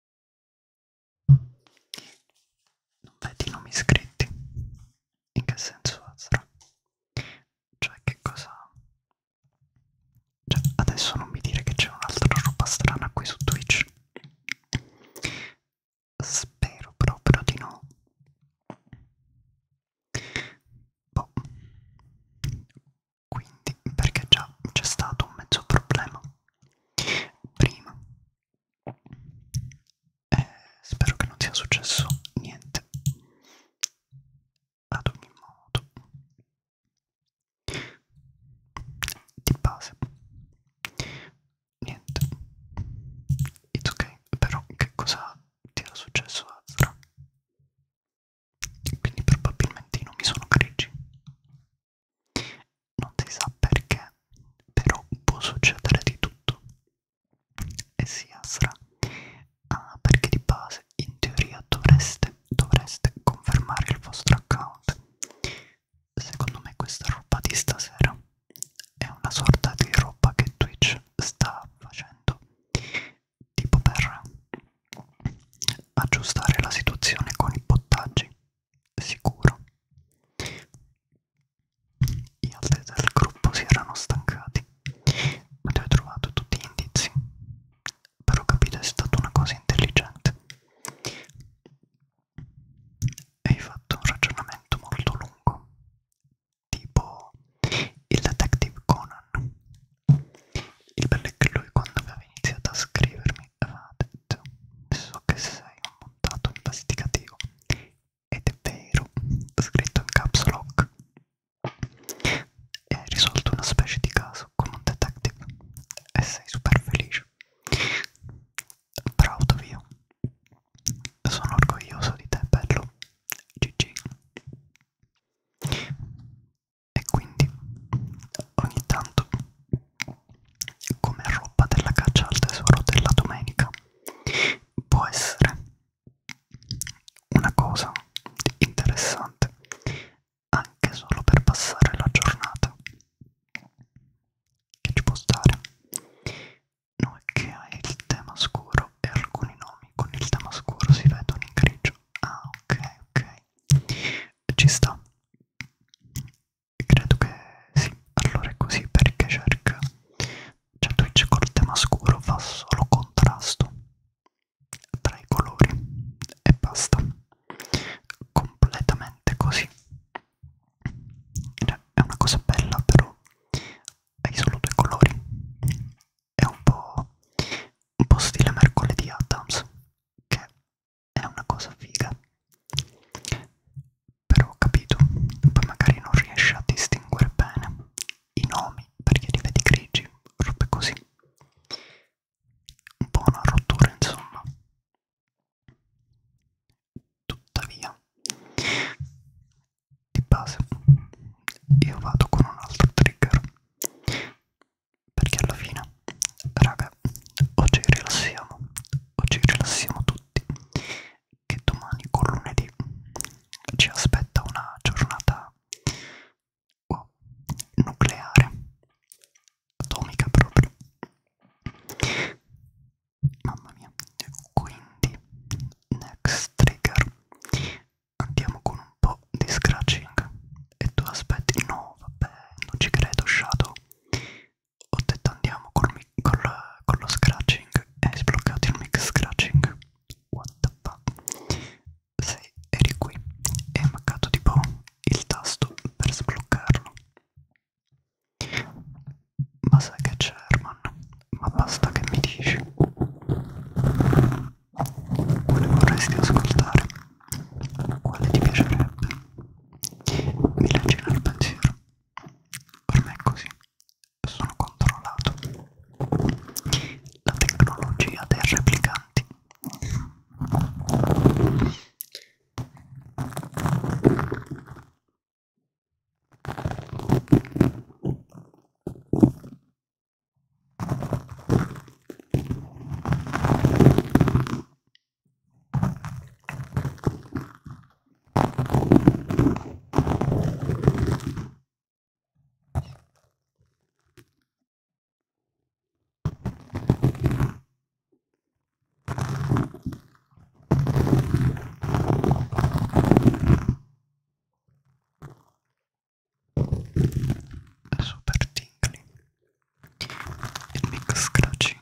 Non vedi i nomi scritti? In che senso Azra? Cioè che cosa... Cioè, adesso non mi dire che c'è un'altra roba strana qui su Twitch. Spero proprio di no. Boh. Quindi, perché già c'è stato un mezzo problema. Prima eh, spero che non sia successo niente ad ogni modo di base niente it's ok però che cosa ti era successo a Zara? quindi probabilmente i nomi sono grigi non si sa perché, però può succedere di tutto. E si asra. Ah, perché di base in teoria dovreste, dovreste confermare il vostro account. Secondo me questa roba di stasera è una sorta di roba che Twitch sta facendo tipo per aggiustare la situazione con i bottaggi sicuro. Gli altri del gruppo si erano stancati, ma ti ho trovato tutti gli indizi. Però capito è stata una cosa intelligente. E hai fatto un ragionamento molto lungo, tipo il detective Conan. Il bello è che lui quando aveva iniziato a scrivermi Vadet, so che sei un montato investigativo ed è vero, scritto in caps lock. Hai risolto una specie di caso con un detective e sei super felice. Proud of you. Sono orgoglioso di te, bello. GG. E quindi ogni tanto come roba della caccia al tesoro della domenica può essere una cosa interessante anche solo per passare la giornata che ci può stare non è che hai il tema scuro e alcuni nomi con il tema scuro si vedono in grigio ah ok ok ci sta credo che sì, allora è così perché cerca, cioè Twitch col tema scuro fa solo contrasto tra i colori e basta, completamente così, cioè, è una cosa bella però hai solo due colori, è un po', un po stile mercoledì Adams che è una cosa figa però ho capito, poi magari non riesci a distinguere bene i nomi perché li vedi grigi, robe così. Un po' una rottura insomma. Tuttavia, di base, io vado con un altro trigger perché alla fine, raga, oggi rilassiamo, oggi rilassiamo tutti che domani con lunedì ci aspetta una giornata oh, nucleare, atomica proprio. Mamma mia, quindi next trigger andiamo con un po' di scratching e tu aspetti no vabbè non ci credo shadow ho detto andiamo col, col, con lo scratching e hai sbloccato il mix scratching what the fuck sì, eri qui e hai mancato tipo il tasto per sbloccarlo ma sai che c'è Herman? ma basta che mi dici quale vorresti ascoltare? quale ti piacerebbe? mi leggi nel pensiero ormai è così, sono controllato. La tecnologia dei replicanti super tingly il mix scratching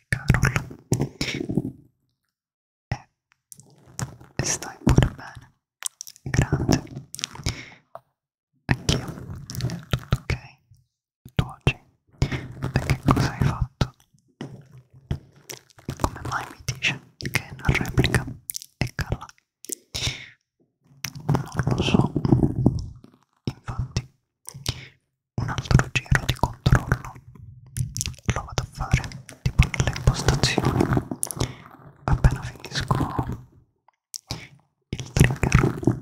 sei Carol e, e stai pure bene grazie anch'io tutto ok tu oggi e che cosa hai fatto come mai mi dice che non replica e calla non lo so infatti un altro giro di controllo lo vado a fare tipo nelle impostazioni appena finisco il trigger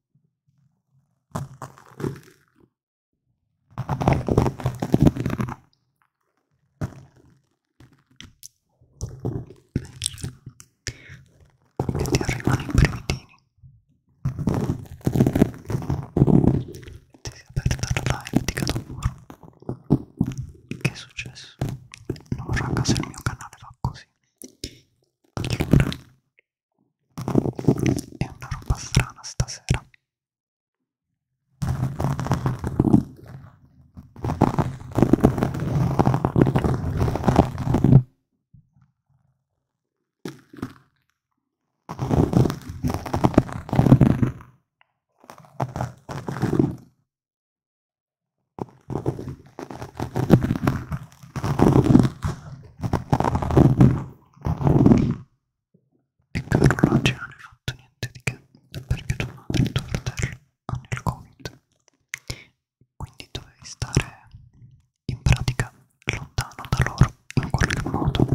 e ti arrivano i brividini e ti si è aperta la live di Catomuro che è successo? no raga se il mio canale va così allora è una roba strana stasera e che per non ce non hai fatto niente di che perché tua madre e tuo fratello hanno il covid quindi dovevi stare in pratica lontano da loro in qualche modo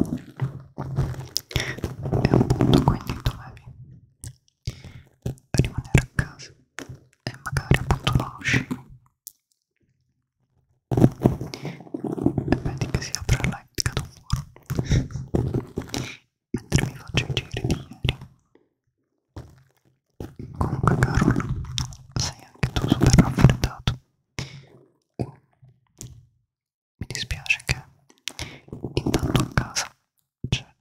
e appunto quindi dovevi rimanere a casa e magari appunto non uscivi Vedi che si apre la God of War mentre mi faccio i giri di ieri. Comunque Carol, sei anche tu super raffreddato. Mi dispiace che intanto a casa c'è cioè,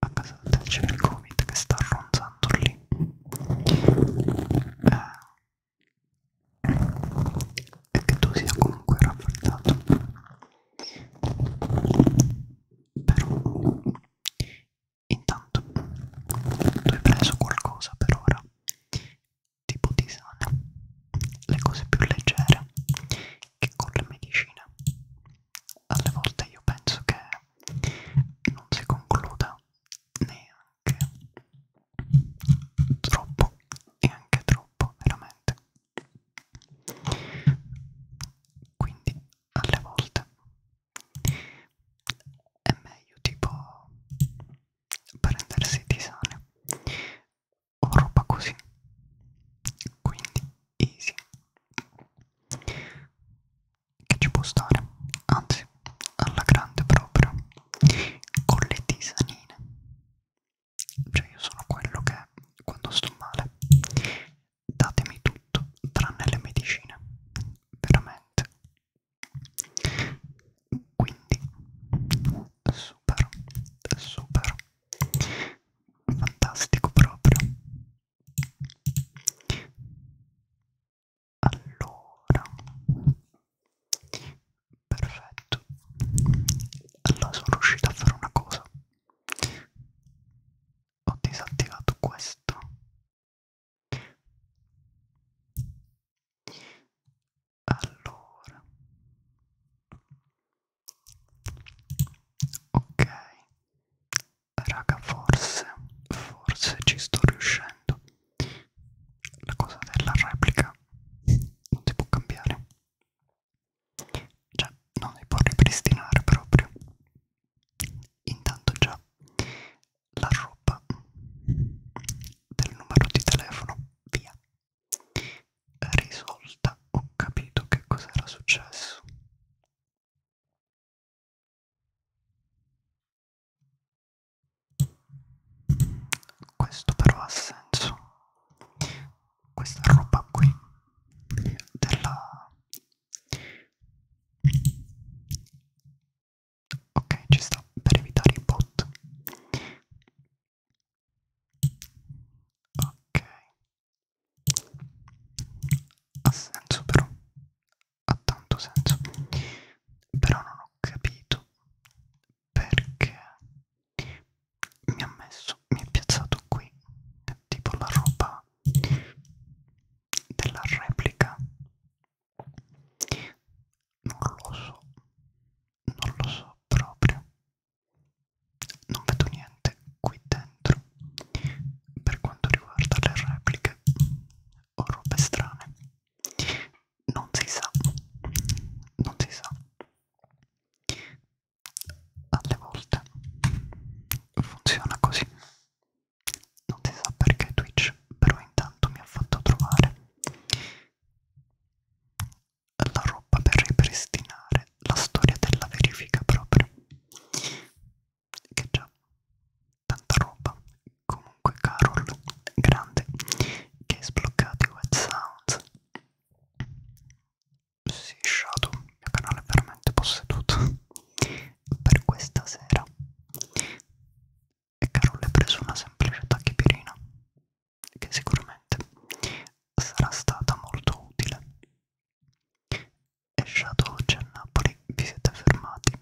a casa del c'è il Covid che sta ronzando lì. Eh, e che tu sia comunque rafforzato però intanto tu hai preso qualcosa per ora tipo tisane le cose più leggere che con le medicine alle volte io penso che non si concluda neanche anche troppo e anche troppo veramente quindi alle volte è meglio tipo prendersi di sane o roba così quindi easy che ci può stare anzi alla grande proprio con le tisanine cioè io sono quello che quando sto male datemi tutto tranne le medicine veramente quindi super super fantastico proprio allora, perfetto. Allora sono riuscito a fare una cosa. Ho disattivato questo. Allora. Ok. Raga, forse, forse ci sto riuscendo la cosa della replica non si può cambiare cioè non si può ripristinare proprio intanto già la roba del numero di telefono via risolta ho capito che cosa era successo questo però ha senso. Questa roba qui della Ok, ci sta per evitare i bot. Ok. Ha senso però. Ha tanto senso. Però non ho capito perché mi ha messo, mi è piazzato qui tipo la roba della replica non lo so non lo so proprio non vedo niente qui dentro per quanto riguarda le repliche o robe strane non si sa non si sa alle volte funziona così non si sa perché Twitch però intanto mi ha fatto trovare la roba per ripristinare la storia della verifica proprio che già tanta roba Comunque Carol, grande, che hai sbloccato i Wet Sounds. Sì, Shadow, il mio canale è veramente posseduto per questa sera. E Carol ha preso una semplice tachipirina, che sicuramente sarà stata molto utile. E Shadow oggi a Napoli vi siete fermati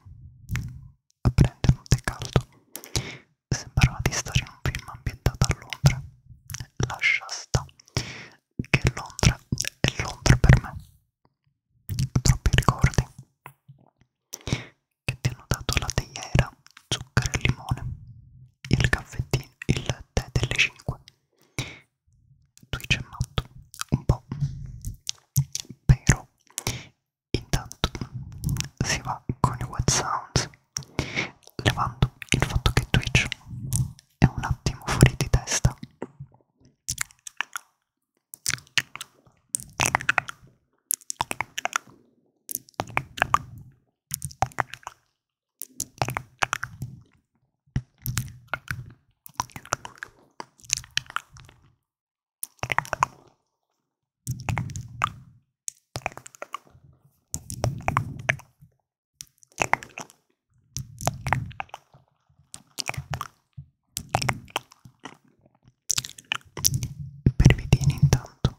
a prendere un tè caldo sembrava di stare in un film ambientato a Londra. Lascia sta che Londra è Londra per me. Troppi ricordi che ti hanno dato la teiera, zucchero e limone, il caffettino, il tè delle 5. Twitch è matto, un po', però Intanto si va con i What Sounds, levando il fatto che Twitch è un attimo fuori di testa. Per i vitini intanto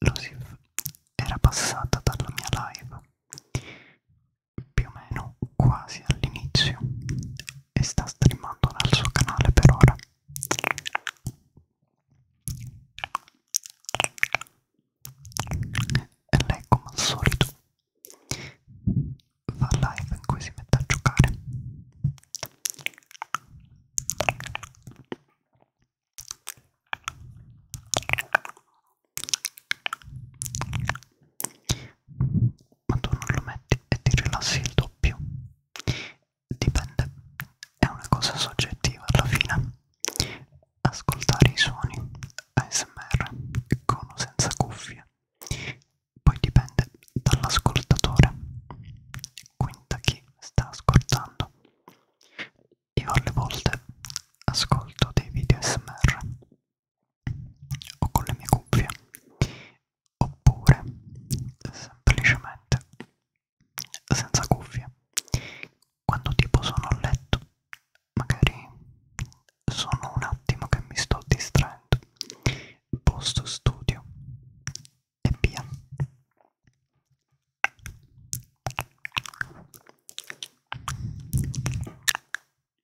Lo si era passata dalla mia live più o meno quasi all'inizio e sta streamando dal suo canale per ora e lei come al solito fa live in cui si mette a giocare ma tu non lo metti e ti rilassi il doppio dipende è una cosa soggettiva alla fine ascoltare i suoni ASMR con o senza cuffie poi dipende dall'ascoltatore quindi da chi sta ascoltando io alle volte ascolto dei video ASMR o con le mie cuffie oppure semplicemente senza cuffie quando tipo sono a letto magari sono un attimo che mi sto distraendo posto studio e via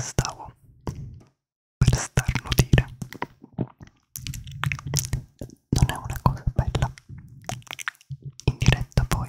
Stavo per starnutire. Non è una cosa bella. In diretta poi.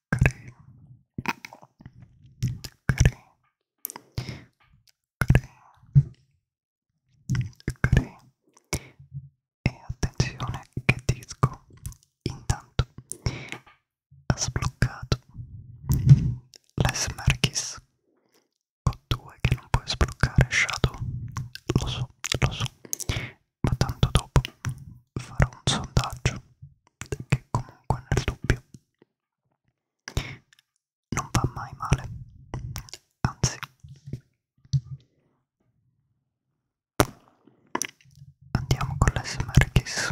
creme creme creme creme e attenzione che disco intanto ha sbloccato Les Marquis con due che non puoi sbloccare Shadow lo so lo so ma tanto dopo farò un sondaggio che comunque nel dubbio non va mai male, anzi, andiamo con l'SMR Kiss.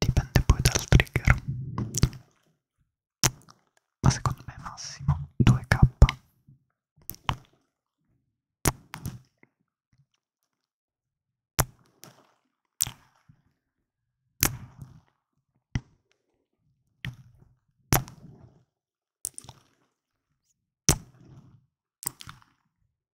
dipende poi dal trigger ma secondo me massimo 2k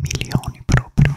milioni proprio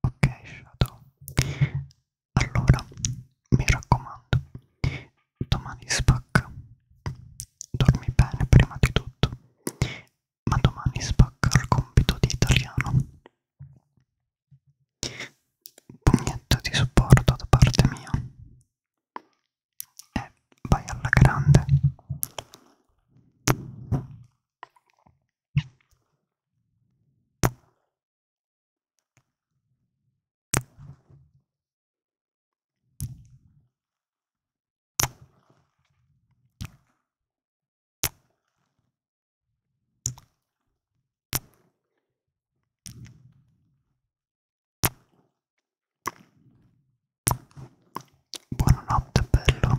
Ok Shadow, allora mi raccomando, domani spacca. Dormi bene prima di tutto, ma domani spacca il compito di italiano. Pugnetto di supporto da parte mia. E vai alla grande. Buonanotte bello.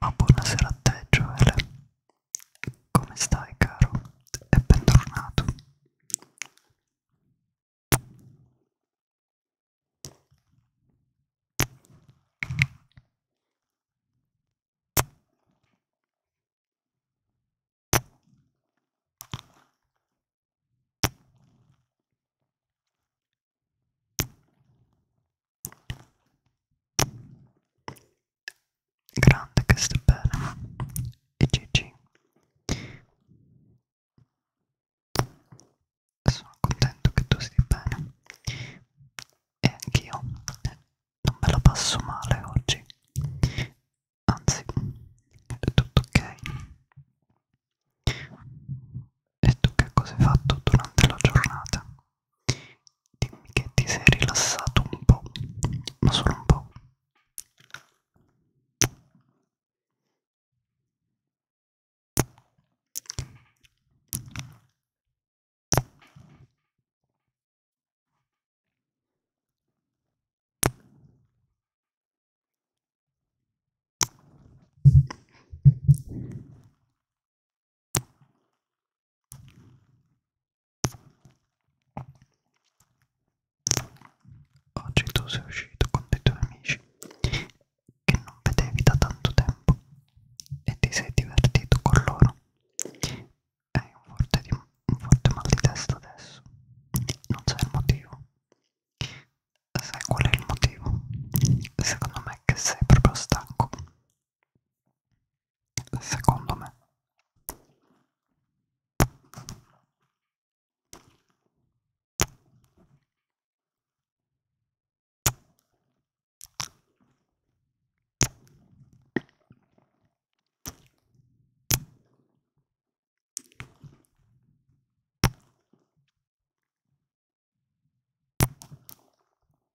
Ma buonasera a te, Joel. Come stai, caro? E bentornato grande che sta bene e GG sono contento che tu stia bene e anch'io non me la passo male oggi anzi è tutto ok e tu che cosa hai fatto durante la giornata Dimmi che ti sei rilassato un po', ma solo un po'. Oggi tu sei uscito con dei tuoi amici che non vedevi da tanto tempo e ti sei divertito con loro. Hai un forte, di, un forte mal di testa adesso, non sai il motivo. Sai qual è il motivo? Secondo me è che sei proprio stanco secondo me.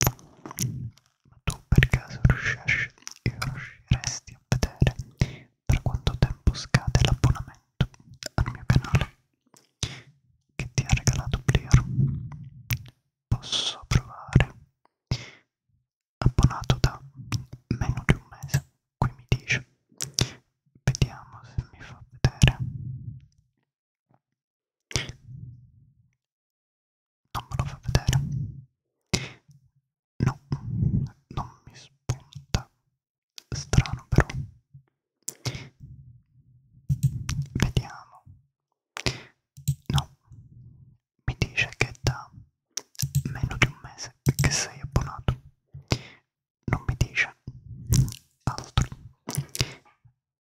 Ma tu per caso riusciresti, riusciresti a vedere tra quanto tempo scade l'abbonamento al mio canale che ti ha regalato Blier? Posso provare. Abbonato da meno di un mese, qui mi dice. Vediamo se mi fa vedere non me lo fa vedere no non mi spunta strano però vediamo no mi dice che è da meno di un mese che sei abbonato non mi dice altro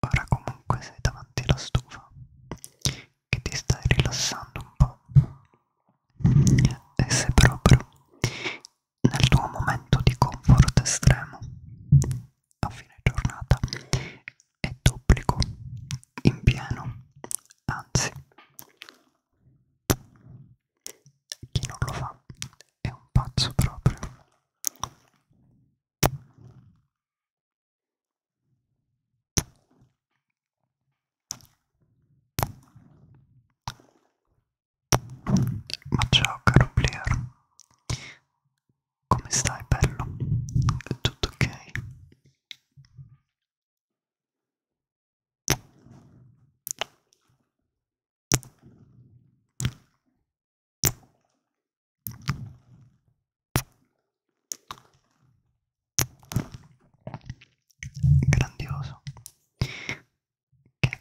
Ora comunque sei davanti alla stufa che ti stai rilassando un po'. E sei proprio nel tuo momento di comfort estremo a fine giornata e duplico in pieno, anzi chi non lo fa è un pazzo proprio. Ma ciao caro player, come stai bello? È tutto ok? grandioso che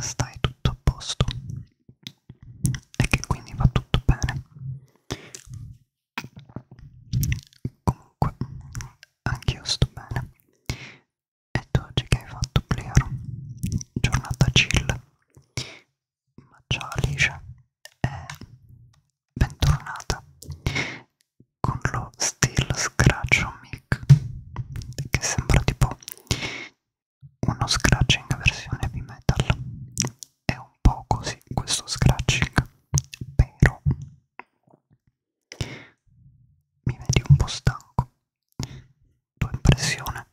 stai tutto a posto e che quindi va tutto bene comunque anch'io sto bene e tu oggi che hai fatto Plero giornata chill ma ciao Alice e eh, bentornata con lo Steel Scratch Mic che sembra tipo uno scratching versione heavy metal è un po' così questo scratching però mi vedi un po' stanco tua impressione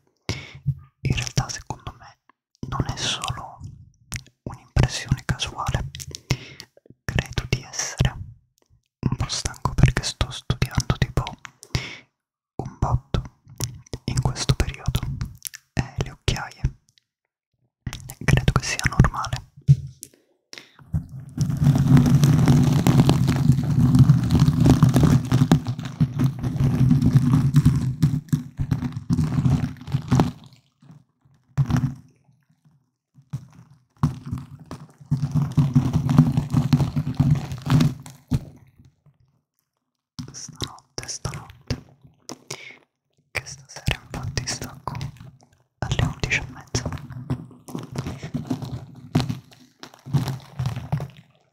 in realtà secondo me non è solo un'impressione casuale, credo di essere un po' stanco perché sto studiando tipo un botto in questo periodo e eh, le occhiaie credo che sia normale. Stanotte, stanotte, che stasera infatti stacco alle 11 e mezza.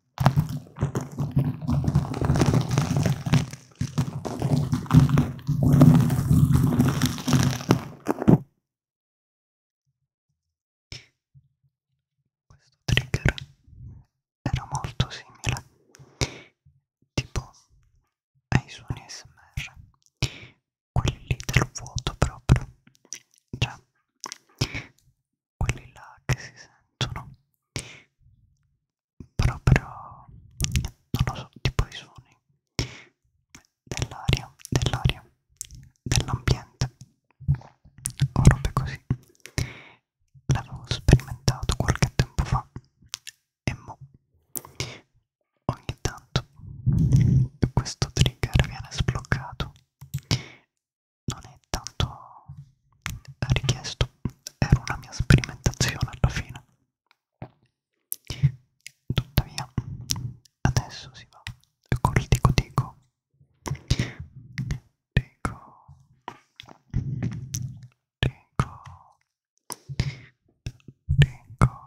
Questo trigger era molto simile tipo ai suoni SMR, quelli lì del vuoto proprio, cioè quelli là che si sentono proprio non lo so tipo i suoni dell'aria dell'aria dell'ambiente o robe così l'avevo sperimentato qualche tempo fa e mo ogni tanto questo trigger viene sbloccato non è tanto richiesto, era una mia sperimentazione alla fine. Tuttavia, adesso si va col dico dico. Dico. Dico. Dico. Dico. Dico.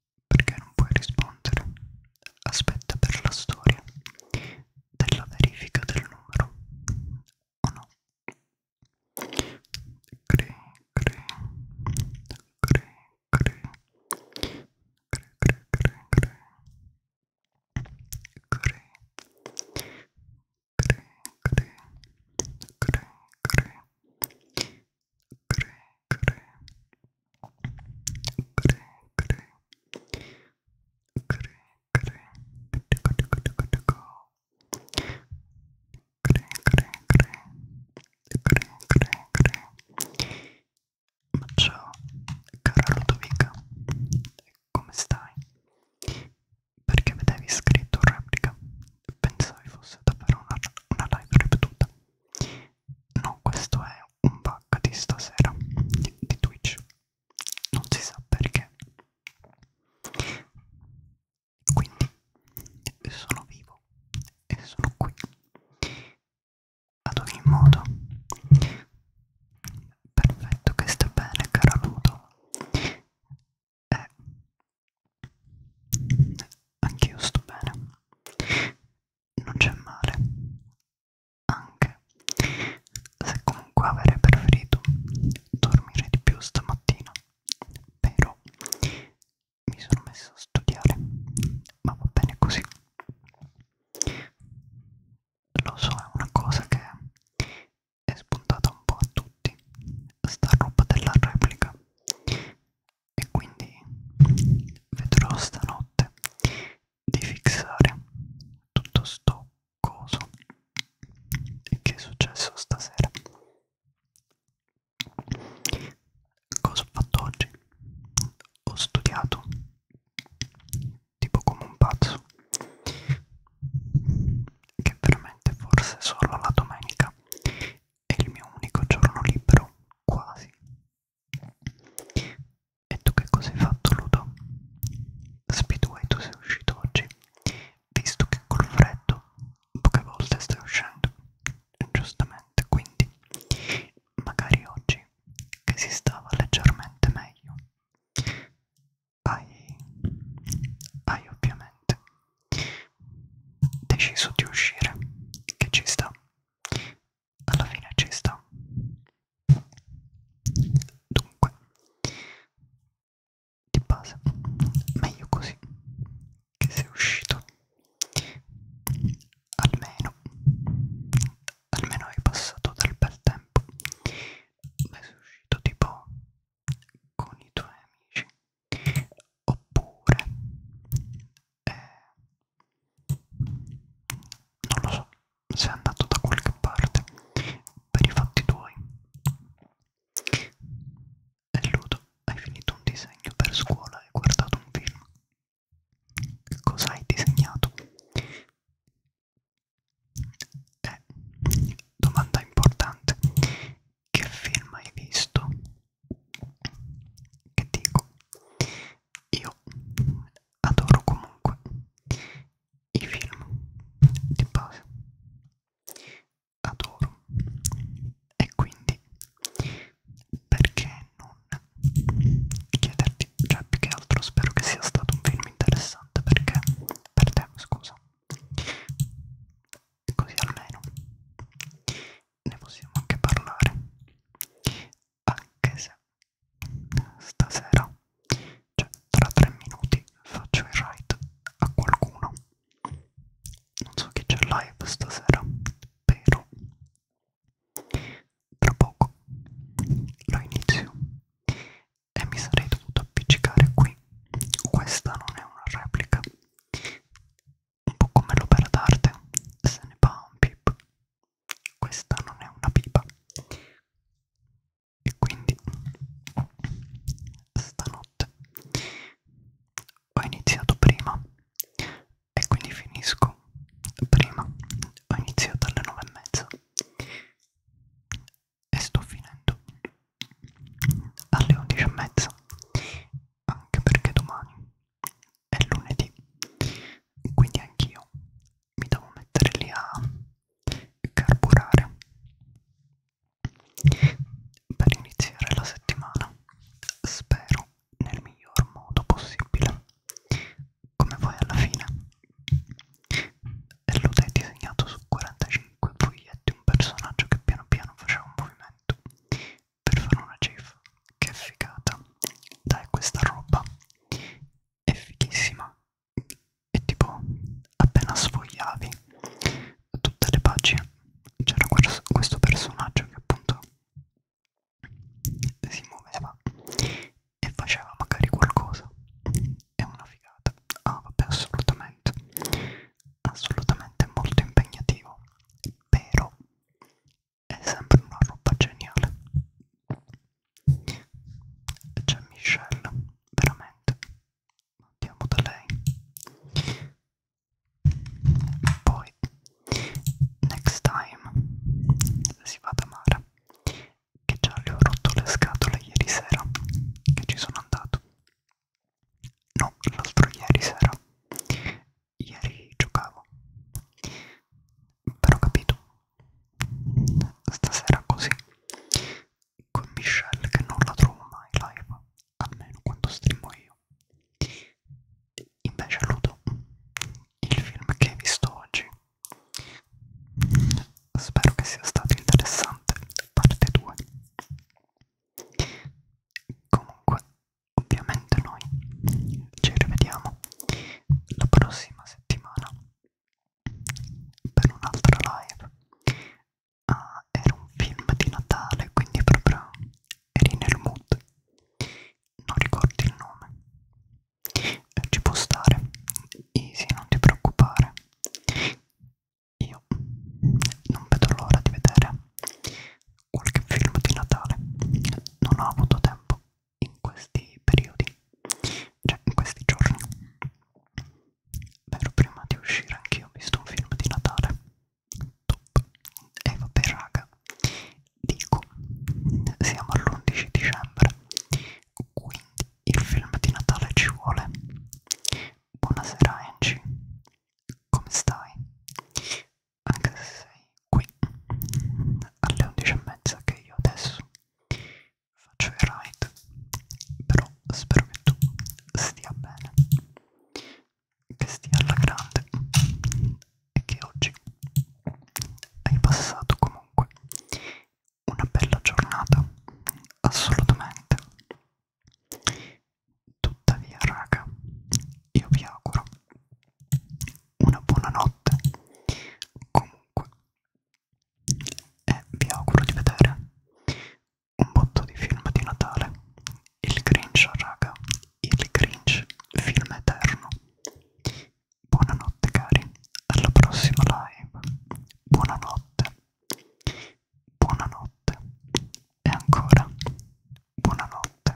perché non puoi rispondere. Aspetta per la storia della verifica del numero. O oh no? Cre, cre, cre, cre, cre, cre, cre, cre. Cre, cre, cre, cre, cre, cre, ma ciao, cara Ludovica, come stai? Perché vedevi scritto replica? Pensai fosse davvero una, una live ripetuta. No, questo è un bug di stasera di Twitch. Non si sa perché. Quindi sono vivo e sono qui. Ad ogni modo, perfetto che stia bene, caro Ludo. Eh, anch'io sto bene non c'è male anche se comunque avrei preferito dormire di più stamattina però mi sono messo a studiare ma va bene così lo so è una cosa che è spuntata un po' a tutti sta roba della replica e quindi vedrò stanotte di fixare tutto sto coso che è successo stasera cosa ho fatto oggi ho studiato tipo come un pazzo che veramente forse solo la domenica è il mio unico giorno libero quasi e tu che cosa hai fatto, Ludo? Speedway, tu sei uscito oggi, visto che col freddo poche volte stai uscendo, giustamente, quindi magari oggi che si stava leggermente meglio. Hai, hai ovviamente deciso di uscire, che ci sta, alla fine ci sta dunque di base meglio così che sei uscito almeno almeno hai passato del bel tempo ma sei uscito tipo con i tuoi amici oppure eh, non lo so se è andato da qualche parte per i fatti tuoi e Ludo hai finito un disegno per scuola e guardato un film cosa hai disegnato? Eh, domanda importante che film hai visto? che dico io adoro comunque i film di base adoro e quindi perché non chiederti cioè più che altro spero che sia stato un film interessante perché per te scusa così almeno ne possiamo anche parlare anche se stasera, cioè tra tre minuti, faccio il ride a qualcuno. Non so chi c'è live stasera, però tra poco lo inizio e mi sarei dovuto appiccicare qui. Questa non è una replica, un po' come l'opera d'arte, se ne va un pip, questa non è una pipa. E quindi stanotte ho iniziato prima e quindi finisco prima, ho iniziato alle nove e mezza e sto finendo alle 11 e mezza anche perché domani è lunedì quindi anch'io mi devo mettere lì a carburare per iniziare la settimana spero nel miglior modo possibile come voi alla fine e l'ho disegnato su 45 foglietti un personaggio che piano piano faceva un movimento per fare una gif che figata dai questa roba è fighissima e tipo appena sfogliavi tutte le pagine c'era questo personaggio che appunto si muoveva e faceva magari qualcosa è una figata ah vabbè assolutamente assolutamente molto impegnativo però è sempre una roba geniale c'è Michelle veramente andiamo da lei poi next time si va da Mara che già le ho rotto le scatole ieri sera che ci sono andato no l'altro ieri sera ieri giocavo però ho capito stasera così con Michelle che non la trovo mai live almeno quando streamo io invece Ludo il film che hai visto oggi spero che sia stato interessante parte 2 comunque ovviamente noi ci rivediamo la prossima settimana per un'altra live ah, era un film di Natale quindi proprio eri nel mood non ricordi il nome eh, ci può stare easy non ti preoccupare io non vedo l'ora di vedere qualche film di Natale non ho avuto tempo in questi periodi, cioè in questi giorni. Però prima di uscire anch'io ho visto un film di Natale. Top. E vabbè raga, dico, siamo all'11 dicembre, quindi il film di Natale ci vuole. Buonasera Angie, come stai? anche se sei qui alle 11.30 che io adesso faccio il ride però spero che tu stia bene che stia alla grande e che oggi hai passato comunque una bella giornata assolutamente tuttavia raga io vi auguro una buona notte comunque e vi auguro di vedere un botto di film di Natale il Grinch raga il Grinch film eterno buonanotte cari alla prossima live buonanotte buonanotte e ancora buonanotte